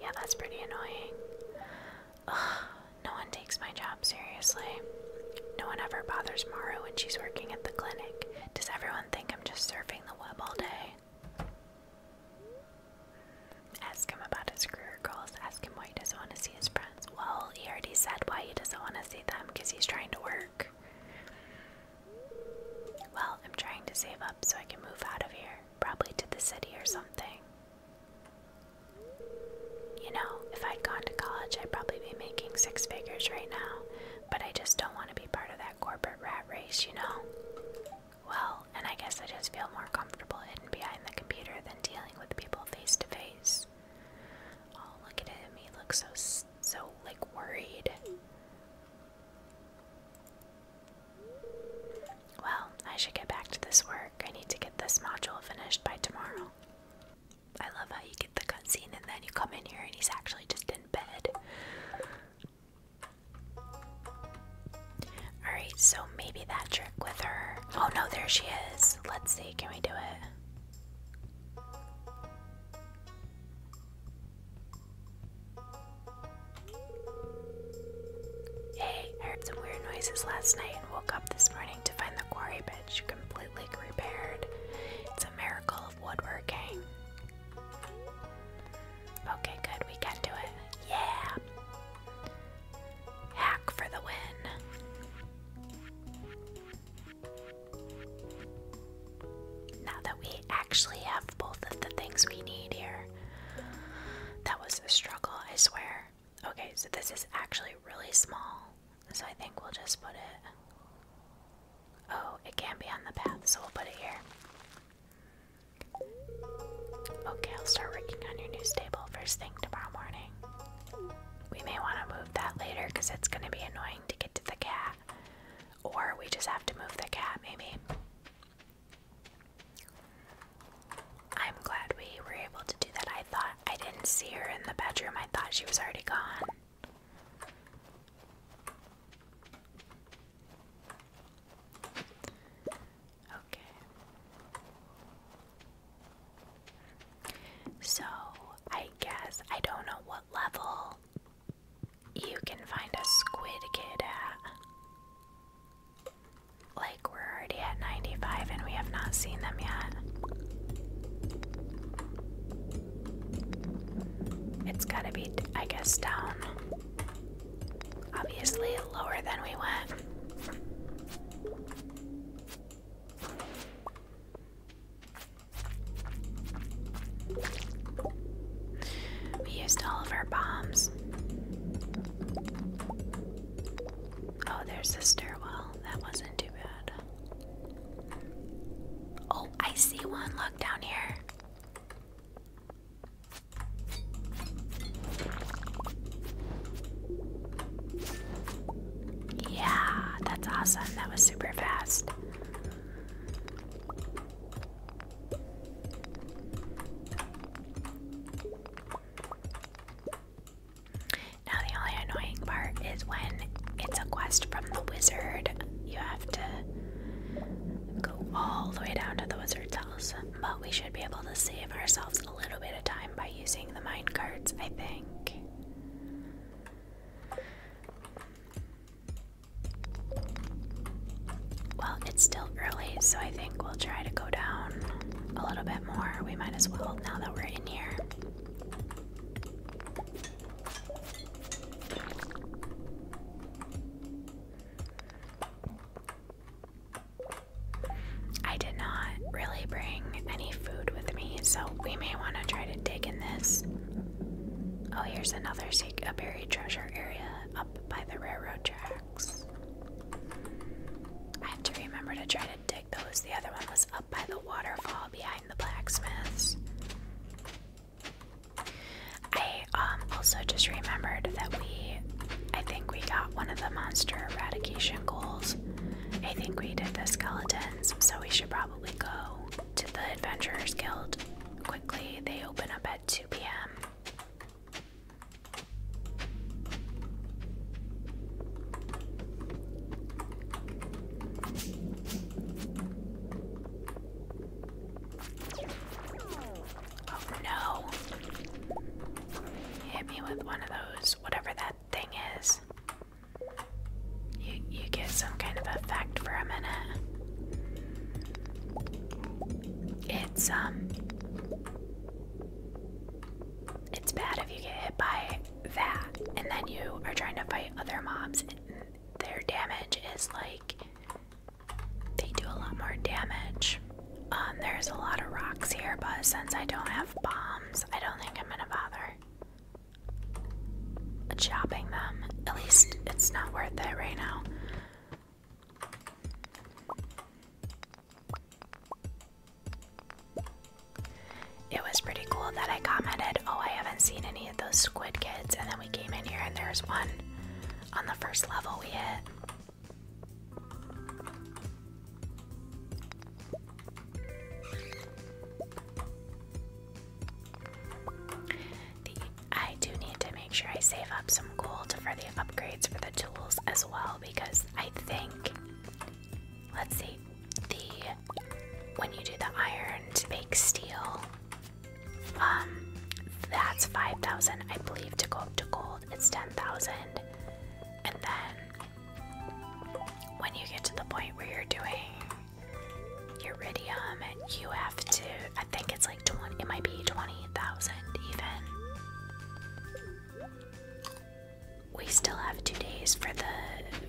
Speaker 1: Yeah, that's pretty annoying. Ugh, no one takes my job seriously. No one ever bothers Mara when she's working at the clinic. Does everyone think I'm just surfing the web all day? Ask him about his career goals. Ask him why he doesn't want to see his friends. Well, he already said why he doesn't want to see them because he's trying to work. Well, I'm trying to save up so I can move out of here, probably to the city or something. You know, if I'd gone to college, I'd probably be making six figures right now, but I just don't want to be part of that corporate rat race, you know? Well, and I guess I just feel more comfortable hidden behind the computer than dealing with people face to face. Oh, look at him. He looks so, so, like, worried. Well, I should get back to this work. I need to get this module finished by tomorrow. I love how you get the scene and then you come in here and he's actually just in bed. Alright, so maybe that trick with her. Oh no, there she is. Let's see, can we do it? Hey, I heard some weird noises last night and woke up this morning to find the quarry bench completely repaired. It's a miracle of woodworking. Okay, good. We can do it. Yeah. Hack for the win. Now that we actually have both of the things we need here. That was a struggle, I swear. Okay, so this is actually really small. So I think we'll just put it Oh, it can be on the path, so we'll put it here. Okay, I'll start working on your new stable first thing tomorrow morning. We may want to move that later because it's going to be annoying to get to the cat. Or we just have to move the cat, maybe. I'm glad we were able to do that. I thought I didn't see her in the bedroom, I thought she was already gone. Okay. So, I guess I don't know what level you can find a squid kid at. Like, we're already at 95 and we have not seen them yet. It's gotta be, I guess, down Obviously, lower than we went. We used all of our bombs. Oh, there's a stairwell. That wasn't too bad. Oh, I see one. Look down here. Yeah, that's awesome. That was super fast. Now, the only annoying part is when it's a quest from the wizard, you have to Go all the way down to the wizard's house, but we should be able to save ourselves a little bit of time by using the mine carts, I think. Well, it's still early, so I think we'll try to go down a little bit more. We might as well now that we're in here. I did not really bring any food with me, so we may want to try to dig in this. Oh, here's another sec a buried treasure area up by the railroad tracks. I have to remember to try to dig those. The other one was up by the waterfall behind the blacksmiths. I um, also just remembered that we, I think we got one of the monster eradication goals. I think we did the skeletons, so we should probably go to the Adventurers Guild quickly. They open up at 2 p.m. Oh no. hit me with one of those, whatever that thing is. You you get some kind of effect for a minute. It's um it's bad if you get hit by that and then you are trying to fight other mobs their damage is like they do a lot more damage. Um, there's a lot of rocks here, but since I don't have bombs, I don't think I'm gonna bother chopping them. At least it's not worth it right now. It was pretty cool that I commented, Oh, I haven't seen any of those squid kids. And then we came in here and there's one on the first level we hit. I do need to make sure I save up some gold for the upgrades for the tools as well because I think, let's see, the when you do the iron to make steel, um, that's five thousand, I believe, to go up to gold. It's ten thousand, and then when you get to the point where you're doing iridium, you have to. I think it's like twenty. It might be twenty thousand even. We still have two days for the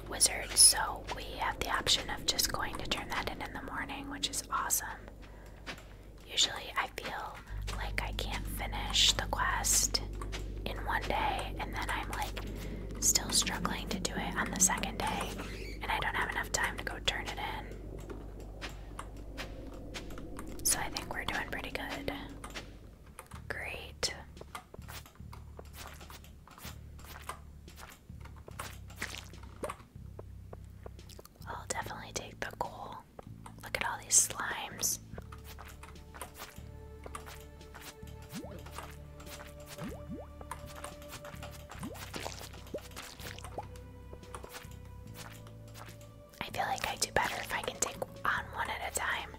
Speaker 1: wizard, so we have the option of just going to turn that in in the morning, which is awesome. Usually, I feel like I can't finish the quest in one day, and then I'm like still struggling to do it on the second day, and I don't have enough time to go turn it in. So, I think we're doing pretty good. Great. I'll definitely take the goal. Look at all these slimes. I feel like I do better if I can take on one at a time.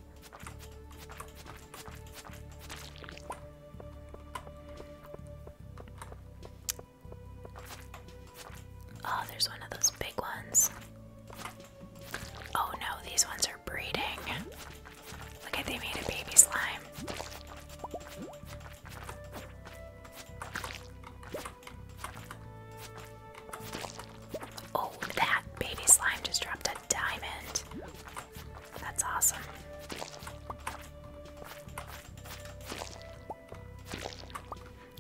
Speaker 1: Oh, there's one of those big ones. Oh no, these ones are breeding. Look at they made a baby slime. Oh, that baby slime just dropped a diamond. That's awesome.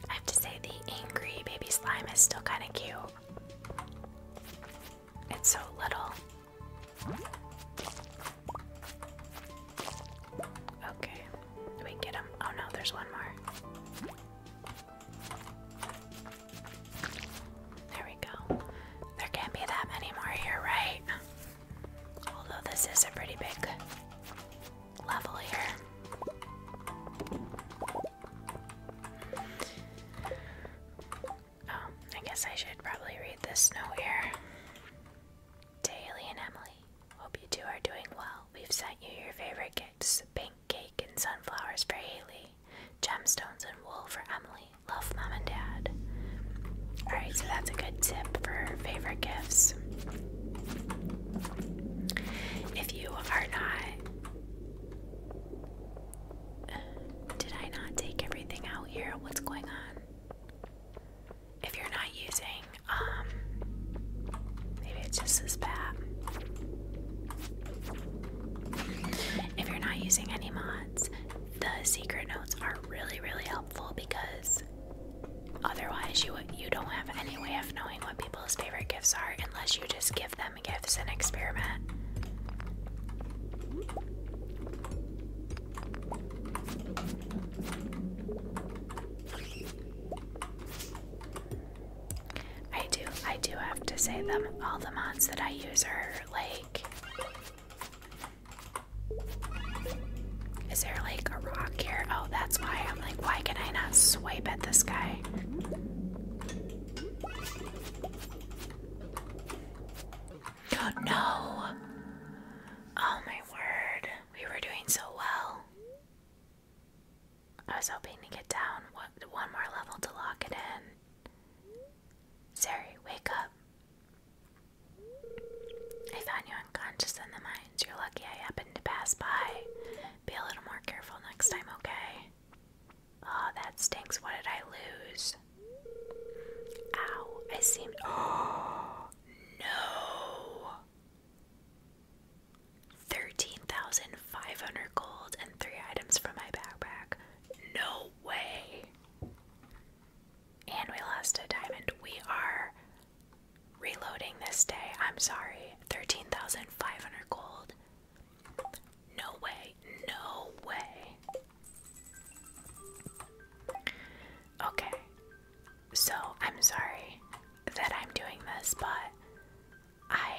Speaker 1: I have to say, the angry baby slime is still kind of cute. It's so little. Okay, we get him. Oh no, there's one more. There we go. There can't be that many more here, right? Although this is a pretty big level here. Oh, I guess I should probably read this note here. Haley and Emily, hope you two are doing well. We've sent you your favorite gifts pink cake and sunflowers for Haley, gemstones and wool for Emily. Love mom and dad. Alright, so that's a good tip for favorite gifts. If you are not. Did I not take everything out here? What's going on? If you're not using, um, maybe it's just this bat. If you're not using any mods, the secret notes are really, really helpful because Otherwise, you you don't have any way of knowing what people's favorite gifts are unless you just give them gifts and experiment. I do I do have to say them all the mods that I use are like is there like a rock here? Oh, that's why I'm like, why can I not swipe at this guy? Oh, no! Oh my word, we were doing so well. I was hoping to get down one, one more level to lock it in. Sari, wake up. I found you unconscious in the mine. You're lucky I happened to pass by. Be a little more careful next time, okay? Oh, that stinks. What did I lose? Ow, I seem. Oh, no! 13,500 gold and three items from my backpack. No way! And we lost a diamond. We are Reloading this day, I'm sorry. 13,500 gold. No way, no way. Okay, so I'm sorry that I'm doing this, but I.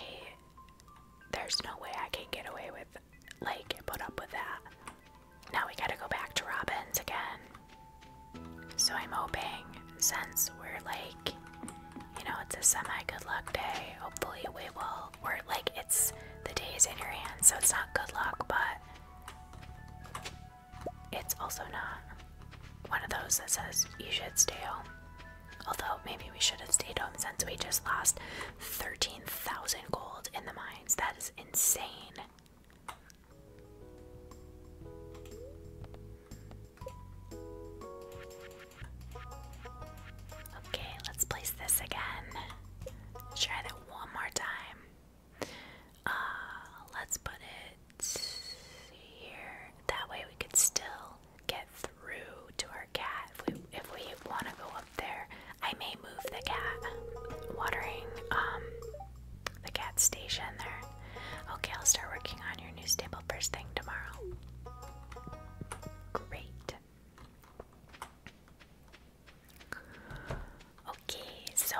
Speaker 1: There's no way I can get away with, like, put up with that. Now we gotta go back to Robbins again. So I'm hoping since we're like, you know, it's a semi good luck day, hopefully we will, or like it's the day is in your hands, so it's not good luck, but it's also not one of those that says you should stay home. Although maybe we should have stayed home since we just lost 13,000 gold in the mines. That is insane. Okay, let's place this again. Try that one more time. Uh, let's put it here. That way we could still get through to our cat if we if we want to go up there. I may move the cat watering um the cat station there. Okay, I'll start working on your new staple first thing tomorrow. Great. Okay, so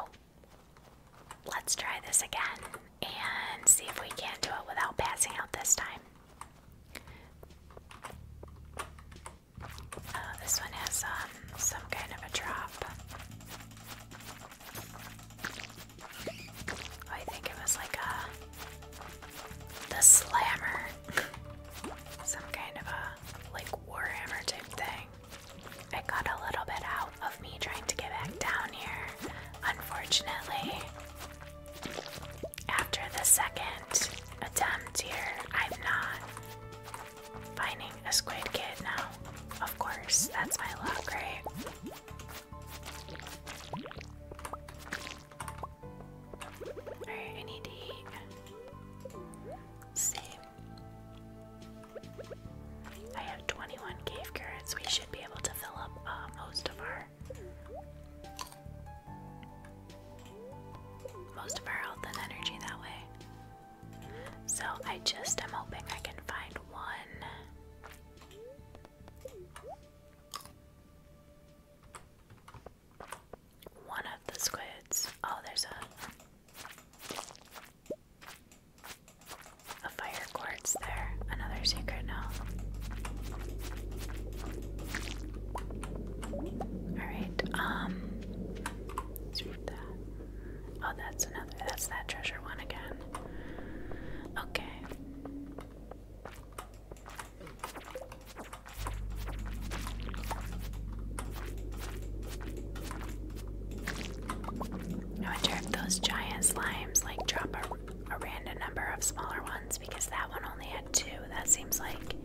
Speaker 1: let's try this again and see if we can do it without passing out this time. Uh, this one has um, some kind of a drop. I think it was like a the slammer. Some kind of a like warhammer type thing. It got a little bit out of me trying to get back down here, unfortunately. After the second attempt here, I'm not finding a squid kid now. Of course, that's my luck, right? Alright, I need to eat. I have 21 cave currents. We should be able to fill up uh, most of our most of our health and energy that way. So I just am hoping I can find one one of the squids. Oh, there's a a fire quartz there. Another secret now. Alright, um that. Oh that's another that's that treasure one again. Okay. I wonder if those giant slimes like drop a random number of smaller ones because that one only had two. That seems like.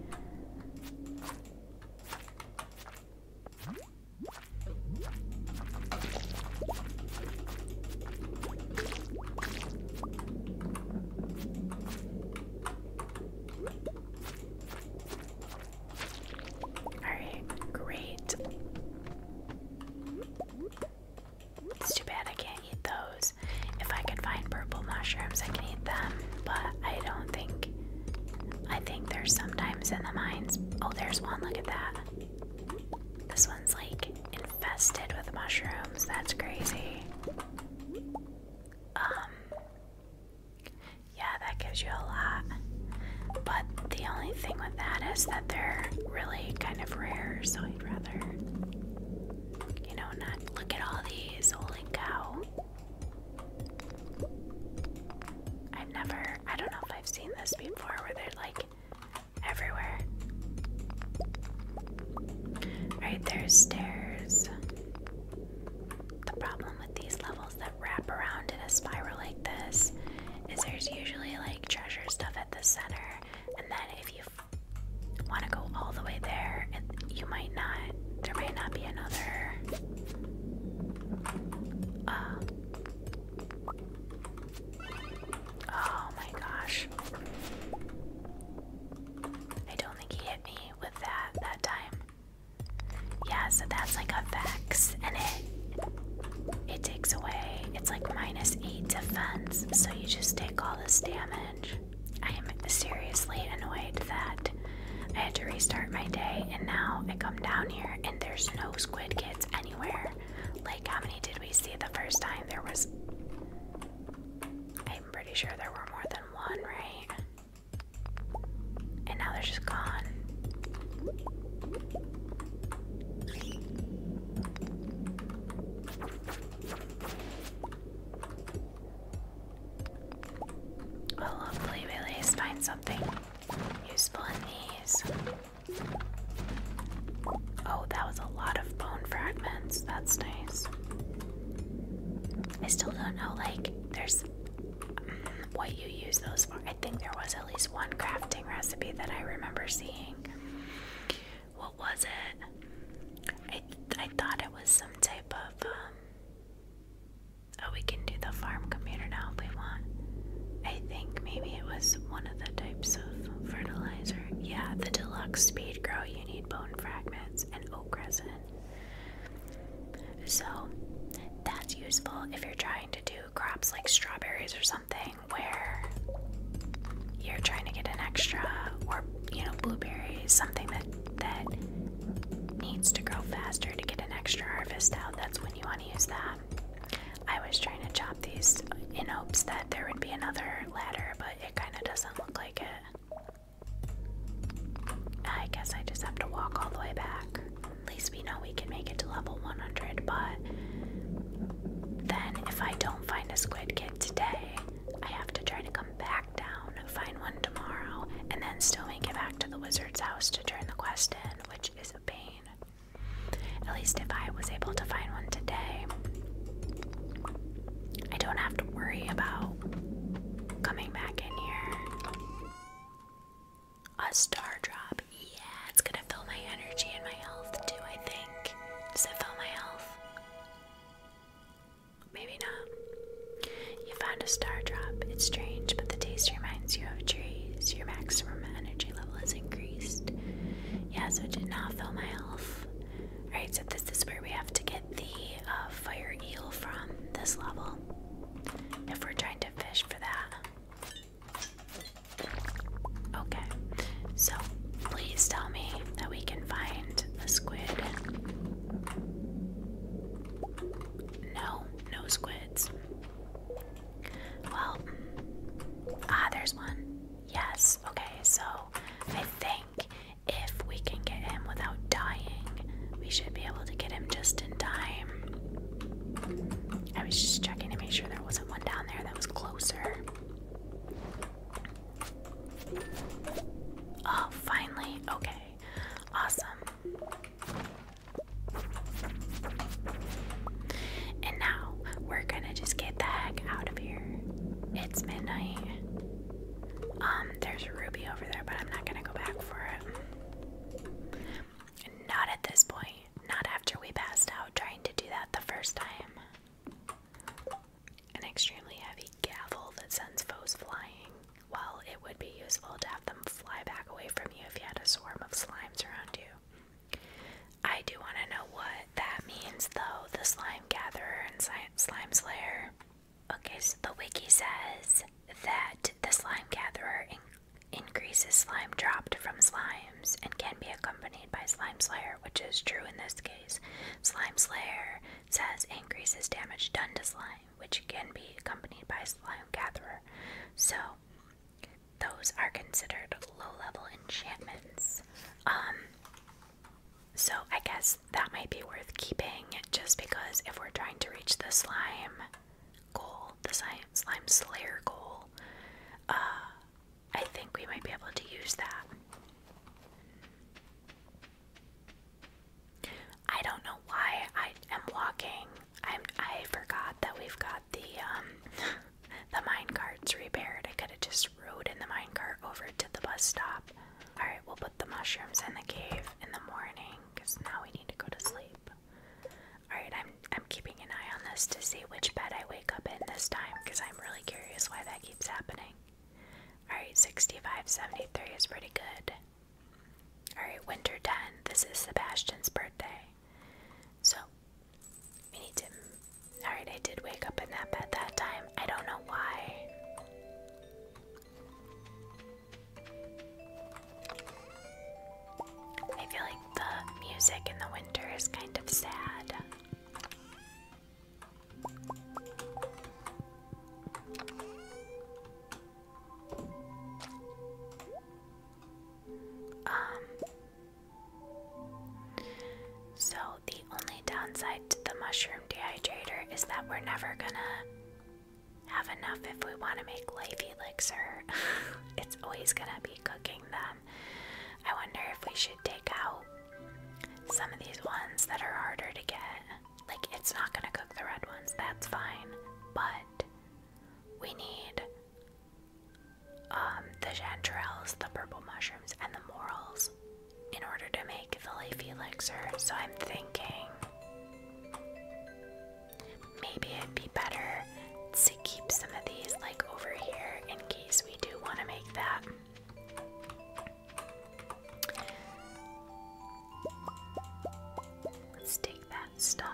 Speaker 1: Alright, great. It's too bad I can't eat those. If I could find purple mushrooms, I can eat them, but I don't think. I think there's sometimes in the mines. Oh, there's one. Look at that. This one's like infested with mushrooms. That's crazy. Um Yeah, that gives you a lot. But the only thing with that is that they're really kind of rare, so I'd rather you know not look at all these. Holy cow. i never I don't know if I've seen this before where they're like Right, there's stairs. The problem with these levels that wrap around in a spiral like this is there's usually like treasure stuff at the center, and then if you want to go all the way there, it, you might not. There might not be another. Uh, Oh my gosh. I don't think he hit me with that that time. Yeah, so that's like a vex and it it takes away it's like minus eight defense, so you just take all this damage. I am seriously annoyed that I had to restart my day and now I come down here and there's no squid kids anywhere. Like, how many did we see the first time? There was. I'm pretty sure there were more than one, right? And now they're just gone. Oh, hopefully, we at least find something useful in these. Oh, that was a lot of bone fragments. That's nice. I still don't know, like, there's mm, what you use those for. I think there was at least one crafting recipe that I remember seeing. What was it? I, I thought it was some type of. Um, oh, we can do the farm computer now if we want. I think maybe it was one of the types fertilizer. Yeah, the deluxe speed grow, you need bone fragments and oak resin. So that's useful if you're trying to do crops like strawberries or something where you're trying to get an extra or you know blueberries, something that that needs to grow faster to get an extra harvest out. That's when you want to use that. I was trying to chop these in hopes that there would be another ladder, but it kind of doesn't look like it. I guess I just have to walk all the way back. At least we know we can make it to level 100, but then if I don't find a squid kid today, I have to try to come back down, find one tomorrow, and then still make it back to the wizard's house to turn the quest in, which is a pain. At least if I was able to find one today, I don't have to worry about coming back in here. A star drop. Yeah, it's gonna fill my energy and my health too, I think. Does it fill my health? Maybe not. You found a star drop. It's strange, but the taste reminds you of trees. Your maximum energy level has increased. Yeah, so it did not fill my health. Right, so this is where we have to get the uh, fire eel from this level. If we're trying to fish for that. Okay, so please tell me that we can find a squid. No, no squids. Well, ah, there's one. Yes, okay, so I think if we can get him without dying, we should be able to get him just in time. I was just checking to make sure there wasn't one down there that was closer. Oh, finally. Okay. Awesome. And now we're gonna just get the heck out of here. It's midnight. Um, there's a ruby over there, but I'm not gonna go back for it. Not at this point. Not after we passed out trying to do that the first time. An extremely heavy gavel that sends foes flying. Well, it would be useful to have them fly back away from you if you had a swarm of slimes around you. I do want to know what that means, though. The slime gatherer and slime slayer. Okay, so the wiki says that the slime gatherer increases slime dropped from slimes and can be accompanied by slime slayer, which is true in this case. Slime slayer says increases damage done to slime, which can be accompanied by slime gatherer. So those are considered low-level enchantments. Um, so I guess that might be worth keeping, just because if we're trying to reach the slime goal, the slime slayer goal, uh, I think we might be able to use that. I don't know why I am walking. I'm, I forgot that we've got the um the mine carts repaired. I could have just rode in the mine cart over to the bus stop. All right, we'll put the mushrooms in the cave in the morning because now we need to go to sleep. All right, I'm I'm keeping an eye on this to see which bed I wake up in this time because I'm really curious why that keeps happening. All right, 6573 is pretty good. All right, winter 10. This is Sebastian's birthday. So, we need to. Alright, I did wake up and nap at that time. I don't know why. I feel like the music in the winter is kind of sad. Um, so, the only downside to the mushroom dehydrator is that we're never gonna have enough if we want to make life elixir. it's always gonna be cooking them. I wonder if we should take out some of these ones that are harder to get. Like, it's not gonna cook the red ones, that's fine. But we need um, the chanterelles, the purple mushrooms, and the morals in order to make the leaf elixir. So I'm thinking maybe it'd be better to keep some of these like over here in case we do want to make that. Let's take that stuff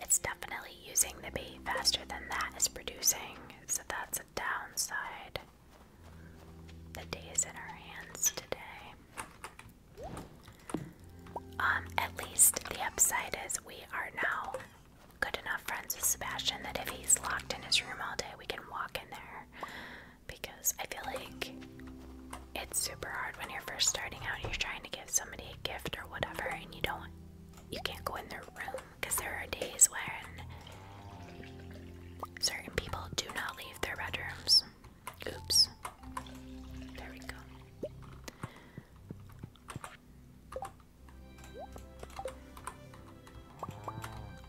Speaker 1: it's definitely using the bait faster than that is producing, so that's a downside. The day is in our hands today. Um, at least the upside is we are now good enough friends with Sebastian that if he's locked in his room all day, we can walk in there. Because I feel like it's super hard when you're first starting out and you're trying to give somebody a gift or whatever, and you don't, you can't go in their room because there are days when certain people do not leave their bedrooms. Oops. There we go.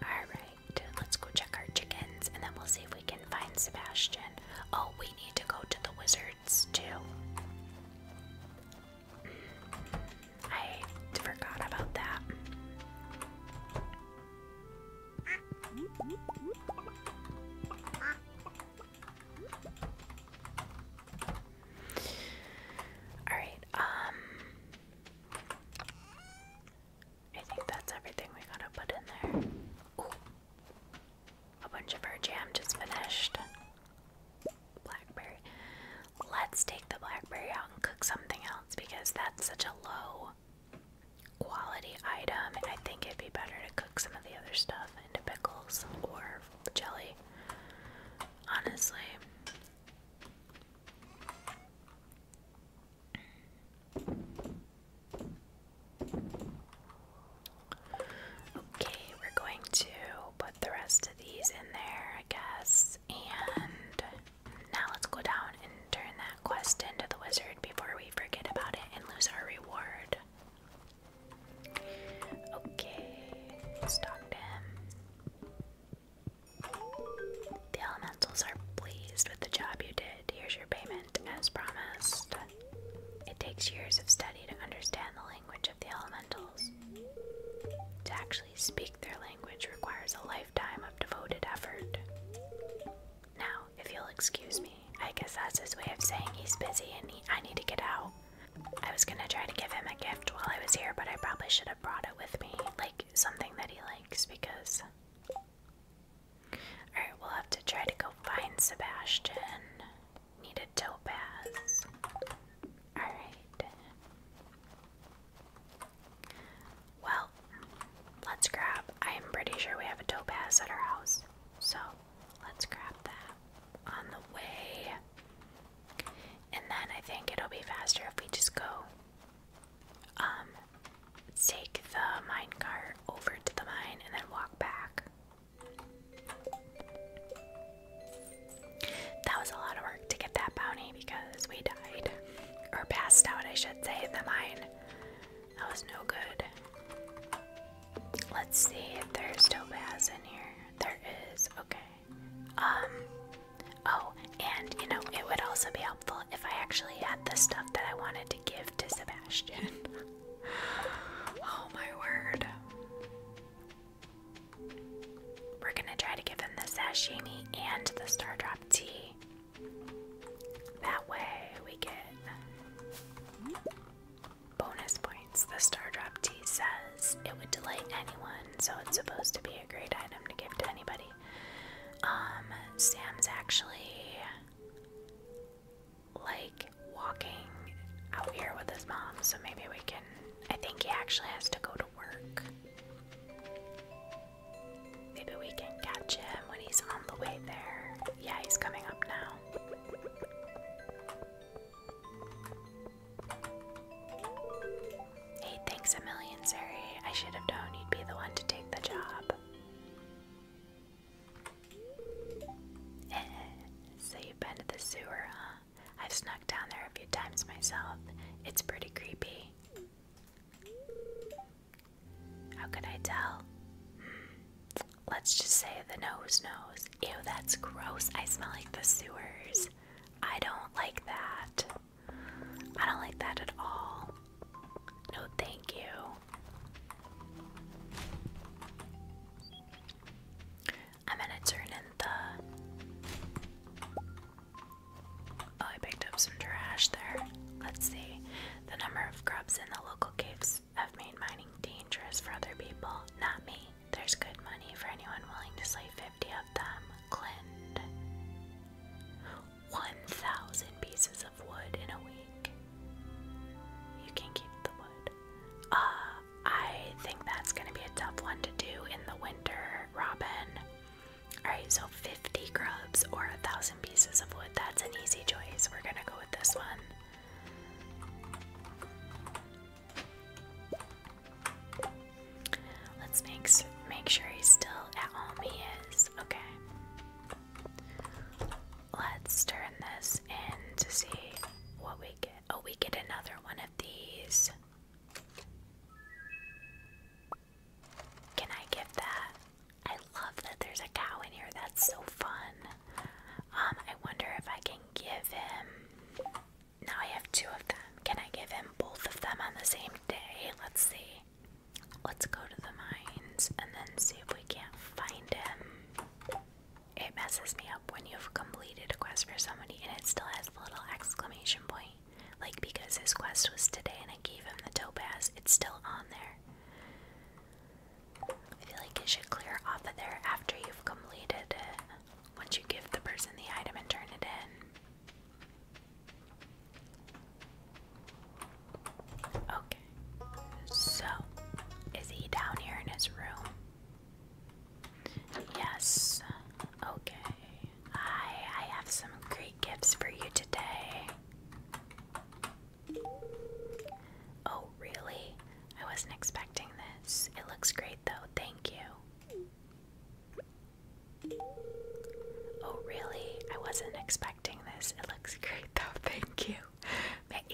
Speaker 1: Alright, let's go check our chickens and then we'll see if we can find Sebastian. Oh, we need to go to the wizards too. I forgot about that. All right, um I think that's everything we gotta put in there. A bunch of our jam just finished blackberry. Let's take the blackberry out and cook something else because that's such a low quality item. I think it'd be better to cook some of the other stuff into pickles or jelly. Honestly. Okay, we're going to put the rest these in there, I guess. And now let's go down and turn that quest into the wizard before we forget about it and lose our reward. Okay, stocked him. The elementals are pleased with the job you did. Here's your payment, as promised. It takes years of study to understand the language of the elementals. To actually speak their language requires a lifetime of devoted effort. Now, if you'll excuse me, I guess that's his way of saying he's busy and he, I need to get out. I was gonna try to give him a gift while I was here, but I probably should have brought it with me, like something that he likes, because. Alright, we'll have to try to go find Sebastian. Need a topaz. Alright. Well, let's grab. I am pretty sure we have a pass at our house. So let's grab that on the way. And then I think it'll be faster if we just go um take the mine cart over to the mine and then walk back. That was a lot of work to get that bounty because we died. Or passed out, I should say, the mine. That was no good. Let's see if there's topaz in here. There is, okay. Um, oh, and you know, it would also be helpful if I actually had the stuff that I wanted to give to Sebastian. oh my word. We're gonna try to give him the sashimi and the star drop tea. That way we get bonus points. The star drop tea says it would delight anyone, so it's supposed to be a great item to give to anybody. Um, Sam's actually like walking out here with his mom, so maybe we can I think he actually has to go to work. Maybe we can catch him when he's on the way there. Yeah, he's coming up now. Hey, thanks a million, Sari. I should have known you'd be the one to take the job. so you've been to the sewer, huh? I've snuck down there a few times myself. It's pretty creepy. How could I tell? Hmm. Let's just say the nose knows. Ew, that's gross. I smell like the sewers. I don't like that. I don't like that at all. No, thank you. I'm gonna turn in the. Oh, I picked up some trash there. Let's see. The number of grubs in the local caves have made mining dangerous for other people, not me. There's good money for anyone willing to slay 50 of them. Clint. 1,000 pieces of wood in a week. You can keep the wood. Ah, I think that's going to be a tough one to do in the winter, Robin. Alright, so 50 grubs or a thousand pieces of wood. That's an easy choice. We're going to go with this one. Let's make, make sure he's still at home. He is. Okay. Let's turn this in to see what we get. Oh, we get another one of these. Can I get that? I love that there's a cow in here. That's so fun. Um, I wonder if I can give him. Now I have two of them. Can I give him both of them on the same day? Let's see. Let's go to the mines and then see if we can't find him. It messes me up when you've completed a quest for somebody and it still has the little exclamation point. Like, because his quest was today and I gave him the topaz, it's still on there. I feel like it should clear off of there after you've completed it. Once you give the person the item and turn it in. Okay. So, is he down here in his room? Yes. Okay. I I have some great gifts for you today. Oh, really? I wasn't expecting this. It looks great though. Thank you. Oh, really? I wasn't expecting this. It looks great though. Thank you.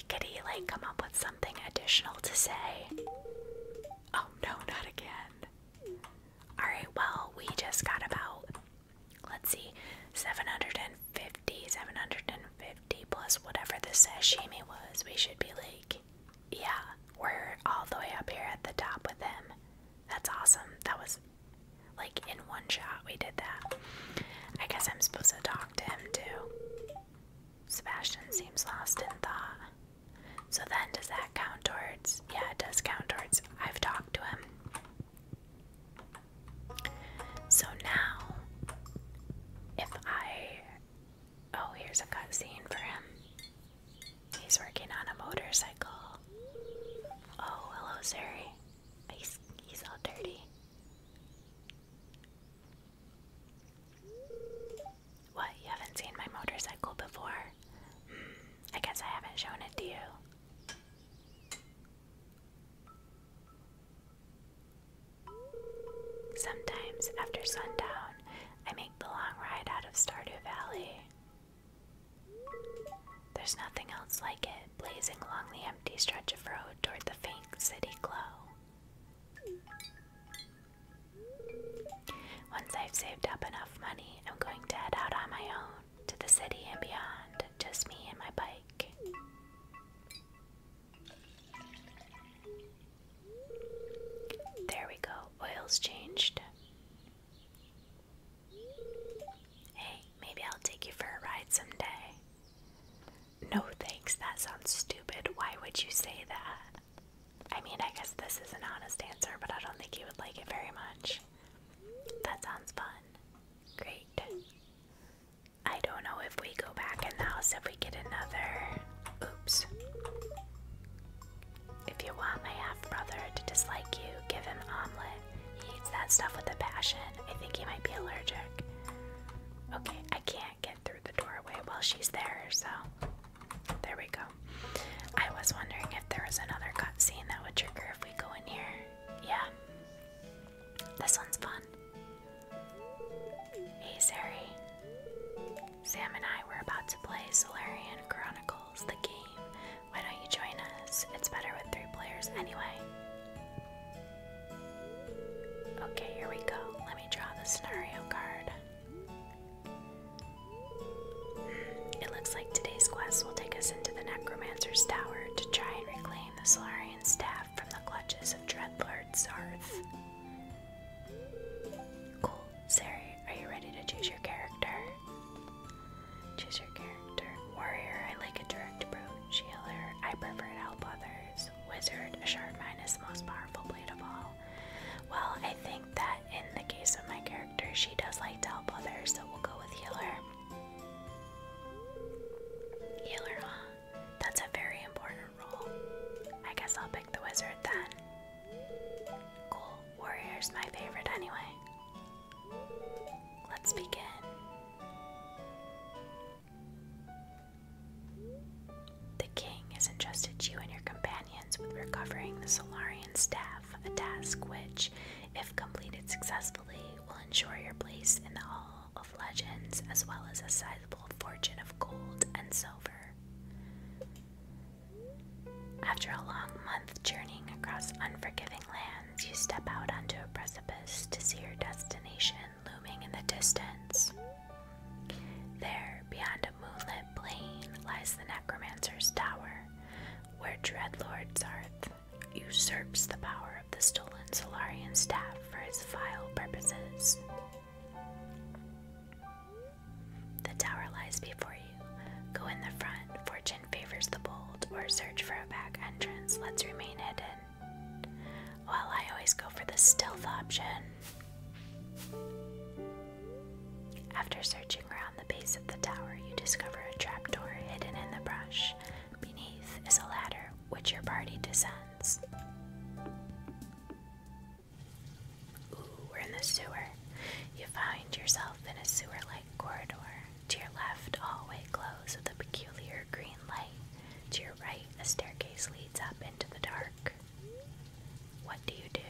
Speaker 1: Could he like come up with something additional to say? Oh no, not again. Alright, well, we just got about, let's see, 750, 750 plus whatever the sashimi was. We should be like, yeah, we're all the way up here at the top with him. That's awesome. That was like in one shot we did that. I guess I'm supposed to talk to him too. Sebastian seems lost in thought. So then, does that count towards? Yeah, it does count towards. I've talked to him. So now, if I. Oh, here's a scene for him. He's working on a motorcycle. Oh, hello, Sari. He's, he's all dirty. What, you haven't seen my motorcycle before? Hmm, I guess I haven't shown it to you. Sometimes after sundown, I make the long ride out of Stardew Valley. There's nothing else like it, blazing along the empty stretch of road toward the faint city glow. Once I've saved up enough money, I'm going to head out on my own to the city and beyond, just me and my bike. There we go, oil's changed. Hey, maybe I'll take you for a ride someday. No thanks, that sounds stupid. Why would you say that? I mean, I guess this is an honest answer, but I don't think he would like it very much. That sounds fun. Great. I don't know if we go back in the house if we get another. Oops. If you want my half brother to dislike you, give him omelet. He eats that stuff with a passion. I think he might be allergic. Okay, I can't get through the doorway while she's there, so there we go. I was wondering if there was another cutscene that would trigger if we go in here. Yeah. This one's fun. Hey, Sari. Sam and I were about to play Solarian Chronicles, the game. Why don't you join us? It's better with three players anyway. Okay, here we go. Let me draw the scenario card. It looks like today's quest will take us into the Necromancer's Tower to try and reclaim the Solarian staff from the clutches of Dreadlord Zarth. Cool. Sari, are you ready to choose your character? Choose your character. Warrior, I like a direct approach. Healer, I prefer to help others. Wizard, a sharp mind is the most powerful blade of all. Well, I think that in the case of my character, she does like to help others, so we'll go with healer. Healer, huh? That's a very important role. I guess I'll pick the wizard then. Cool. Warrior's my favorite anyway. Let's begin. The king has entrusted you and your companions with recovering the Solarian staff, a task which, if completed successfully, will ensure your place in the Hall of Legends as well as a sizable fortune of gold and silver. After a long month journeying across unforgiving lands, you step out onto a precipice to see your destination looming in the distance. There, beyond a moonlit plain lies the necromancer's tower, where Dreadlord Zarth usurps the power of the stolen Solarian staff for his vile purposes. The tower lies before you. Go in the front, fortune favors the bold, or search for a back entrance, let's remain hidden. While I always go for the stealth option. After searching around the base of the tower, you discover a trapdoor hidden in the brush. Beneath is a ladder which your party descends. Ooh, we're in the sewer. You find yourself in a sewer like corridor. To your left, hallway glows with a peculiar green light. To your right, a staircase leads up into the dark. What do you do?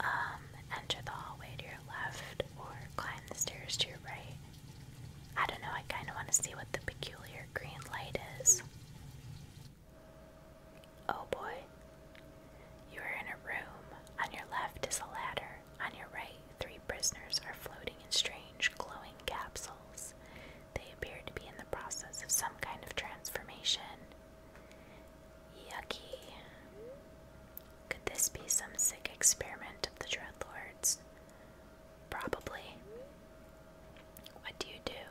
Speaker 1: Um, enter the hallway to your left or climb the stairs to your right. I don't know, I kind of want to see what the peculiar green light is. Oh boy. You are in a room. On your left is a ladder. On your right, three prisoners are floating in strange, glowing capsules. They appear to be in the process of some kind of transformation. Yucky. Could this be some sick experiment of the Dreadlords? Probably. What do you do?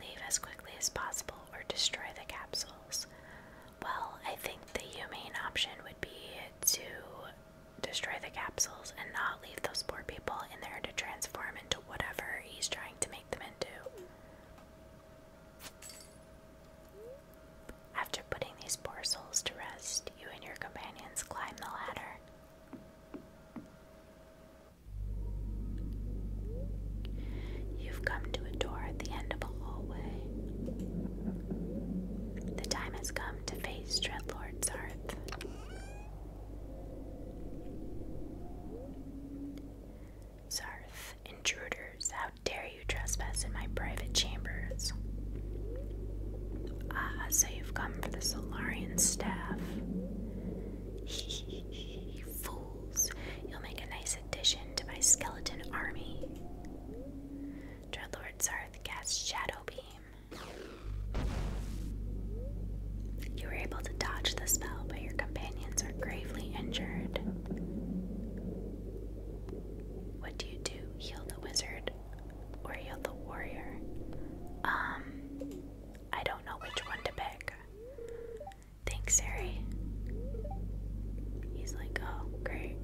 Speaker 1: Leave as quickly as possible or destroy the capsules? Well, I think the humane option would be to destroy the capsules and not leave those poor people in there to transform into whatever he's trying to make them into. After putting these poor souls to rest, you and your companions climb the ladder. You've come to a door at the end of a hallway. The time has come to face Dreadlord Zarth. Zarth, intruders, how dare you trespass in my private chambers? Ah, so you've come for the Solarian staff. Hee fools, you'll make a nice addition to my skeleton army. Dreadlord Zarth cast Shadow Beam. You were able to dodge the spell, but your companions are gravely injured. What do you do? Heal the wizard or heal the warrior? Um, I don't know which one to pick. Thanks, Harry. He's like, oh, great.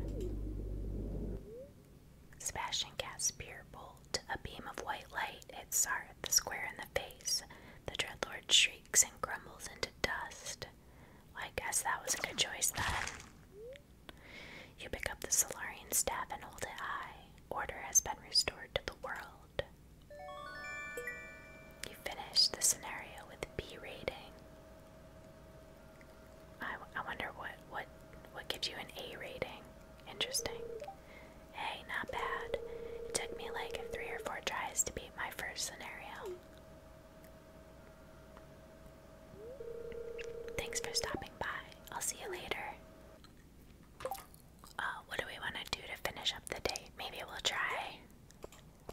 Speaker 1: Sebastian casts Spear Bolt, a beam of white light hits Sarth square in the face. The Dreadlord shrieks and crumbles into dust. I guess that was a good choice then. You pick up the Solarian staff and hold it high. Order has been restored to the world. You finish the scenario with B rating. I, I wonder what what what gives you an A rating. Interesting. Hey, not bad. It took me like three or four tries to beat my first scenario. Thanks for stopping by. I'll see you later. Uh, what do we want to do to finish up the day? Maybe we'll try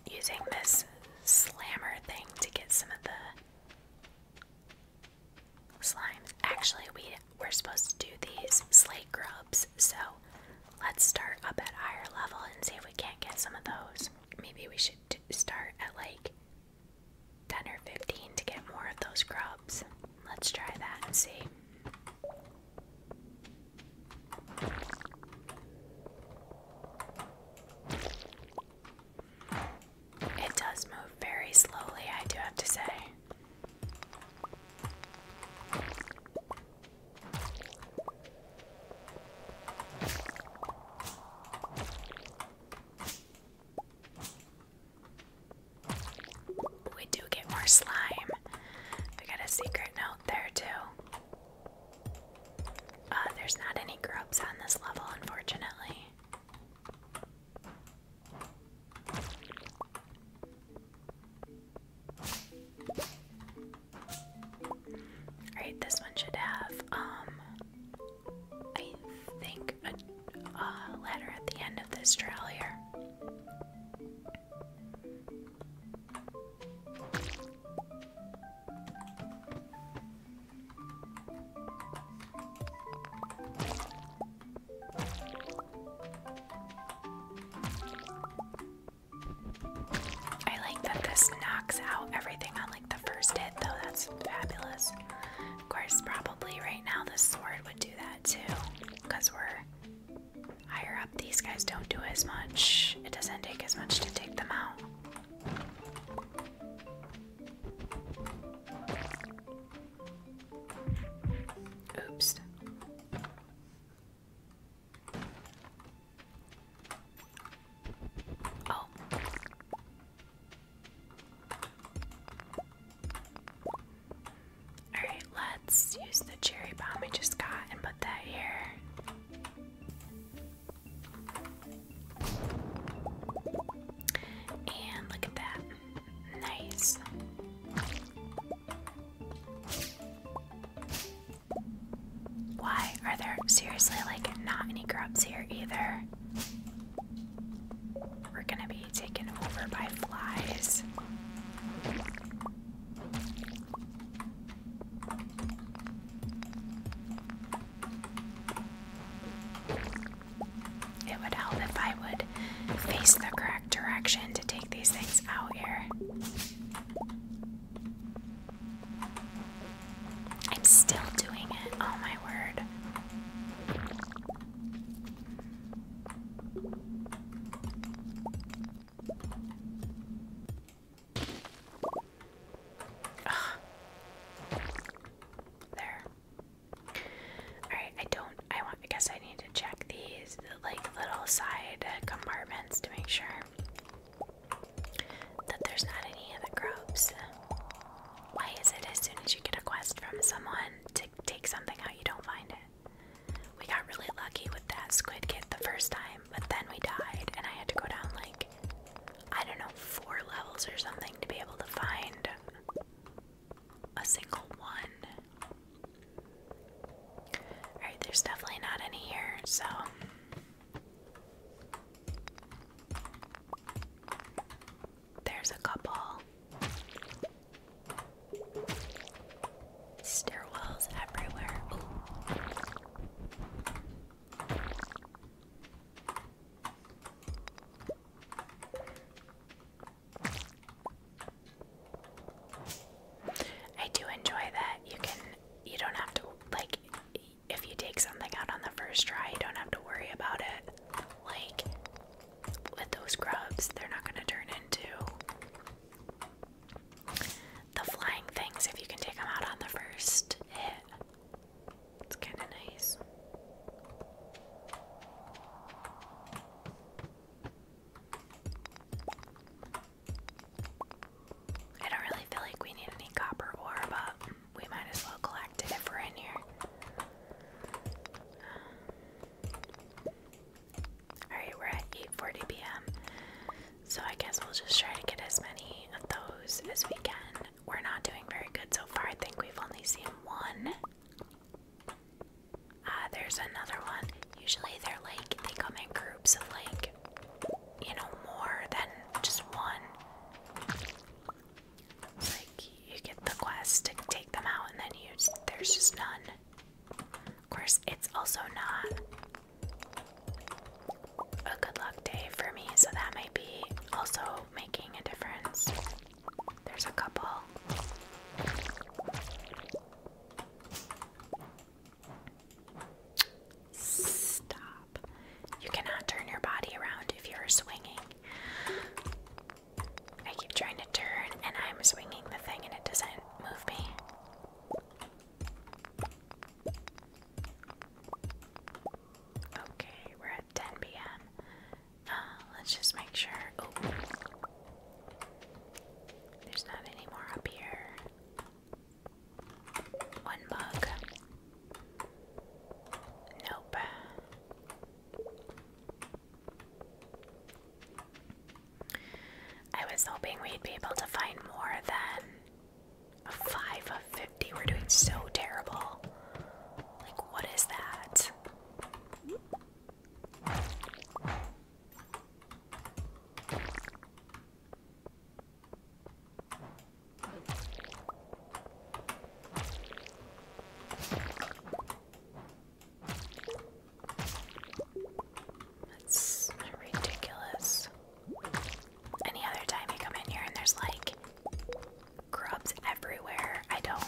Speaker 1: using this slammer thing to get some of the slimes. Actually, we we're supposed to do these slate grubs, so Let's start up at higher level and see if we can't get some of those. Maybe we should start at like 10 or 15 to get more of those grubs. Let's try that and see. It does move very slowly, I do have to say. We do get more slime. We got a secret note there, too. Uh, there's not any grubs on this level, unfortunately. Alright, this one should have, um, I think a, a ladder at the end of this trail here. I like that this knocks out everything on like the first hit though, that's fabulous. Of course, probably right now the sword would do that too, because we're higher up. These guys don't do as much, it doesn't take as much to take them out. Oops. Oh. Alright, let's use the cherry bomb we just got and put that here. And look at that. Nice. Why are there seriously like not any grubs here either? We're gonna be taken over by flies. It would help if I would face the correct direction to take these things out here. I'm still doing it. Oh my word. There. All right, I don't I want I I need to check these like little side compartments to make sure that there's not any other groups. Why is it as soon as you get a quest from someone to take something out, you don't find it? We got really lucky with that squid kit the first time, but then we died, and I had to go down like, I don't know, four levels or something to be able to find a single one. Alright, there's definitely not any here, so there's a couple. Stairwells everywhere. I do enjoy that you can you don't have to like if you take something out on the first try, you don't have to worry about it. Like with those grubs, they're not going to turn into the flying things if you can take them out on the first hit. It's kind of nice. I don't really feel like we need any copper ore, but we might as well collect it if we're in here. Um, Alright, we're at 8.40 p.m. So I guess we'll just try to get as many of those as we can. We're not doing very good so far. I think we've only seen one. Ah, there's another one. Usually they're like, they come in groups of like you know, more than just one. Like, you get the quest to take them out, and then you there's just none. Of course, it's also not a good luck day for me, so that might be also making a difference. There's a couple. Stop. You cannot turn your body around if you're swinging. I keep trying to turn and I'm swinging the thing and it doesn't move me. Okay, we're at 10 p.m. Uh, let's just make sure. Oh, there's not any more up here. One mug. Nope. I was hoping we'd be able to find more than 5 of 50. We're doing so terrible. Like, what is that? That's ridiculous. Any other time you come in here and there's like grubs everywhere, I don't.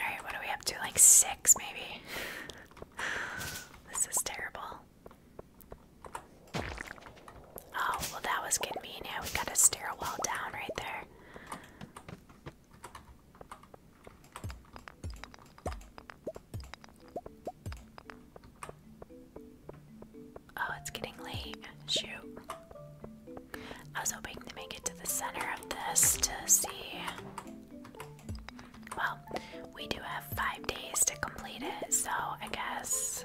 Speaker 1: Alright, what are we up to? Like six, maybe? this is terrible. Oh, well, that was convenient. We got a stairwell down right there. Oh, it's getting late. Shoot. I was hoping to make it to the center of this to see. Well, we do have five days to complete it, so I guess.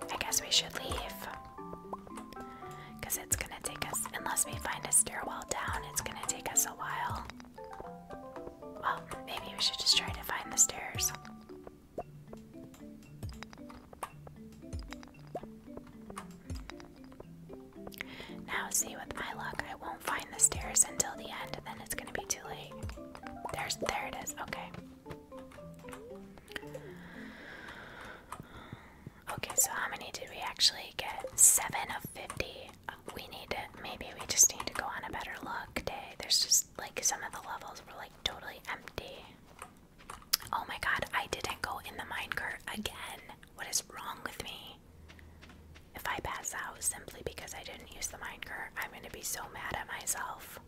Speaker 1: I guess we should leave. Because it's gonna take us, unless we find a stairwell down, it's gonna take us a while. Well, maybe we should just try to find the stairs. Now, see, with my luck, I won't find the stairs until the end, then it's gonna be too late. There's, there it is. Okay. Okay, so how many did we actually get? Seven of fifty we need to, maybe we just need to go on a better look day. There's just like some of the levels were like totally empty. Oh my god, I didn't go in the minecart again. What is wrong with me? If I pass out simply because I didn't use the minecart, I'm gonna be so mad at myself.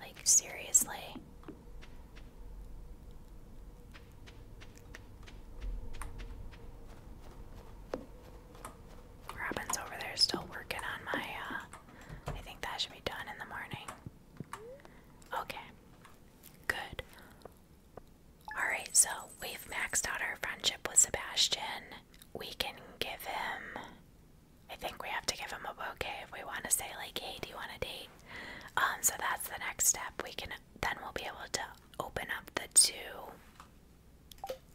Speaker 1: Like, seriously. Robin's over there still working on my, uh, I think that should be done in the morning. Okay. Good. Alright, so we've maxed out our friendship with Sebastian. We can give him. I think we have to give him a bouquet if we want to say, like, hey, do you want a date? Um, so that's the next step. We can then we'll be able to open up the two.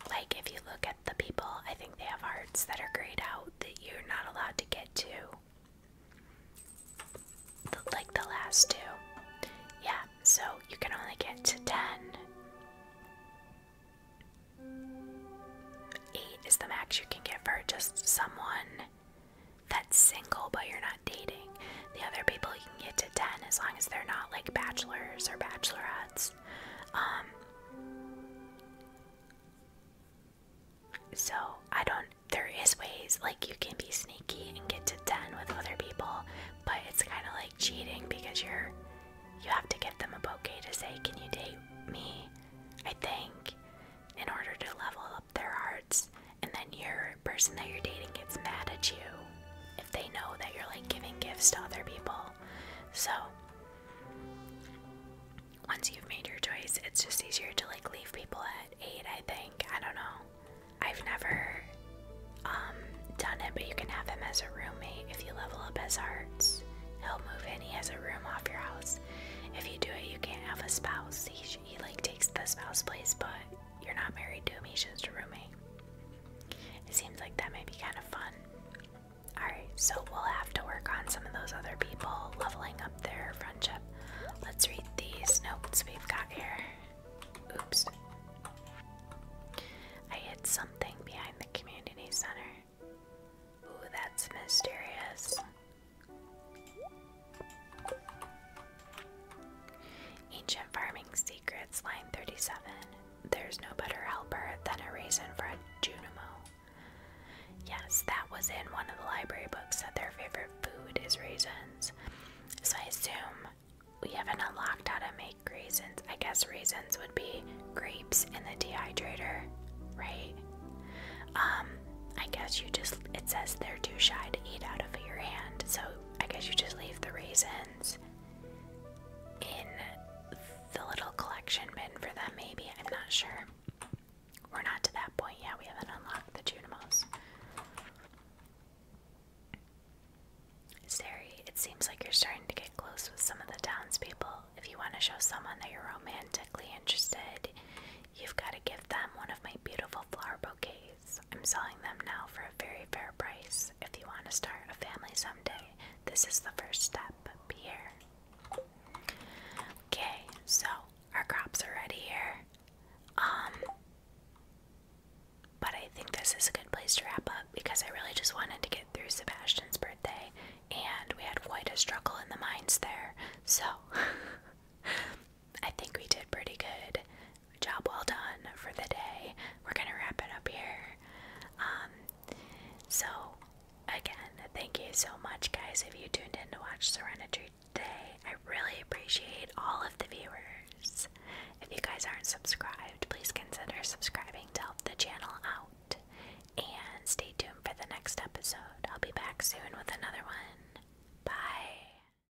Speaker 1: Like, if you look at the people, I think they have hearts that are grayed out that you're not allowed to get to. like the last two. Yeah, so you can only get to 10. 8 is the max you can get for just someone that's single but you're not dating. The other people you can get to 10 as long as they're not like bachelors or bachelorettes. Um, so I don't, there is ways like you can be sneaky and get to 10 with other people, but it's kind of like cheating because you're, you have to give them a bouquet to say, can you date me? I think in order to level up their hearts, and then your person that you're dating gets mad at you if they know that you're like giving gifts to other people. So, once you've made your choice, it's just easier to like leave people at 8, I think. I don't know. I've never um, done it, but you can have him as a roommate if you level up his hearts. He'll move in. He has a room off your house. If you do it, you can't have a spouse. he like takes the spouse place, but you're not married to him, a roommate. It seems like that might be kind of fun. Alright, so we'll have to work on some of those other people leveling up their friendship. Let's read these notes we've got here. Oops. I hid something behind the community center. Ooh, that's mysterious. Ancient Farming Secrets, line 37. There's no better helper than a raisin for a Junimo. Yes, that was in one of the library books that their favorite food is raisins. So I assume we haven't unlocked how to make raisins. I guess raisins would be grapes in the dehydrator, right? Um, I guess you just, it says they're too shy to eat out of your hand, so I guess you just leave the raisins in the little collection bin for them, maybe. I'm not sure. We're not to that point yet. We haven't unlocked the Junimos. Sari, it seems like you're starting to get close with some of the townspeople. If you want to show someone that you're romantically interested, you've got to give them one of my beautiful flower bouquets. I'm selling them now for a very fair price. If you want to start a family someday, this is the first step. Be here. Okay, so our crops are ready here. Um, but I think this is a good place to wrap up because I really just wanted to get through Sebastian's birthday and we had quite a struggle in the mines there. So I think we did pretty good. Job well done for the day. We're gonna wrap it up here. Um, so again, thank you so much, guys, if you tuned in to watch Serenity today. I really appreciate all of the viewers. If you guys aren't subscribed, please consider subscribing to help the channel out. And stay tuned for the next episode. I'll be back soon with another
Speaker 2: one. Bye.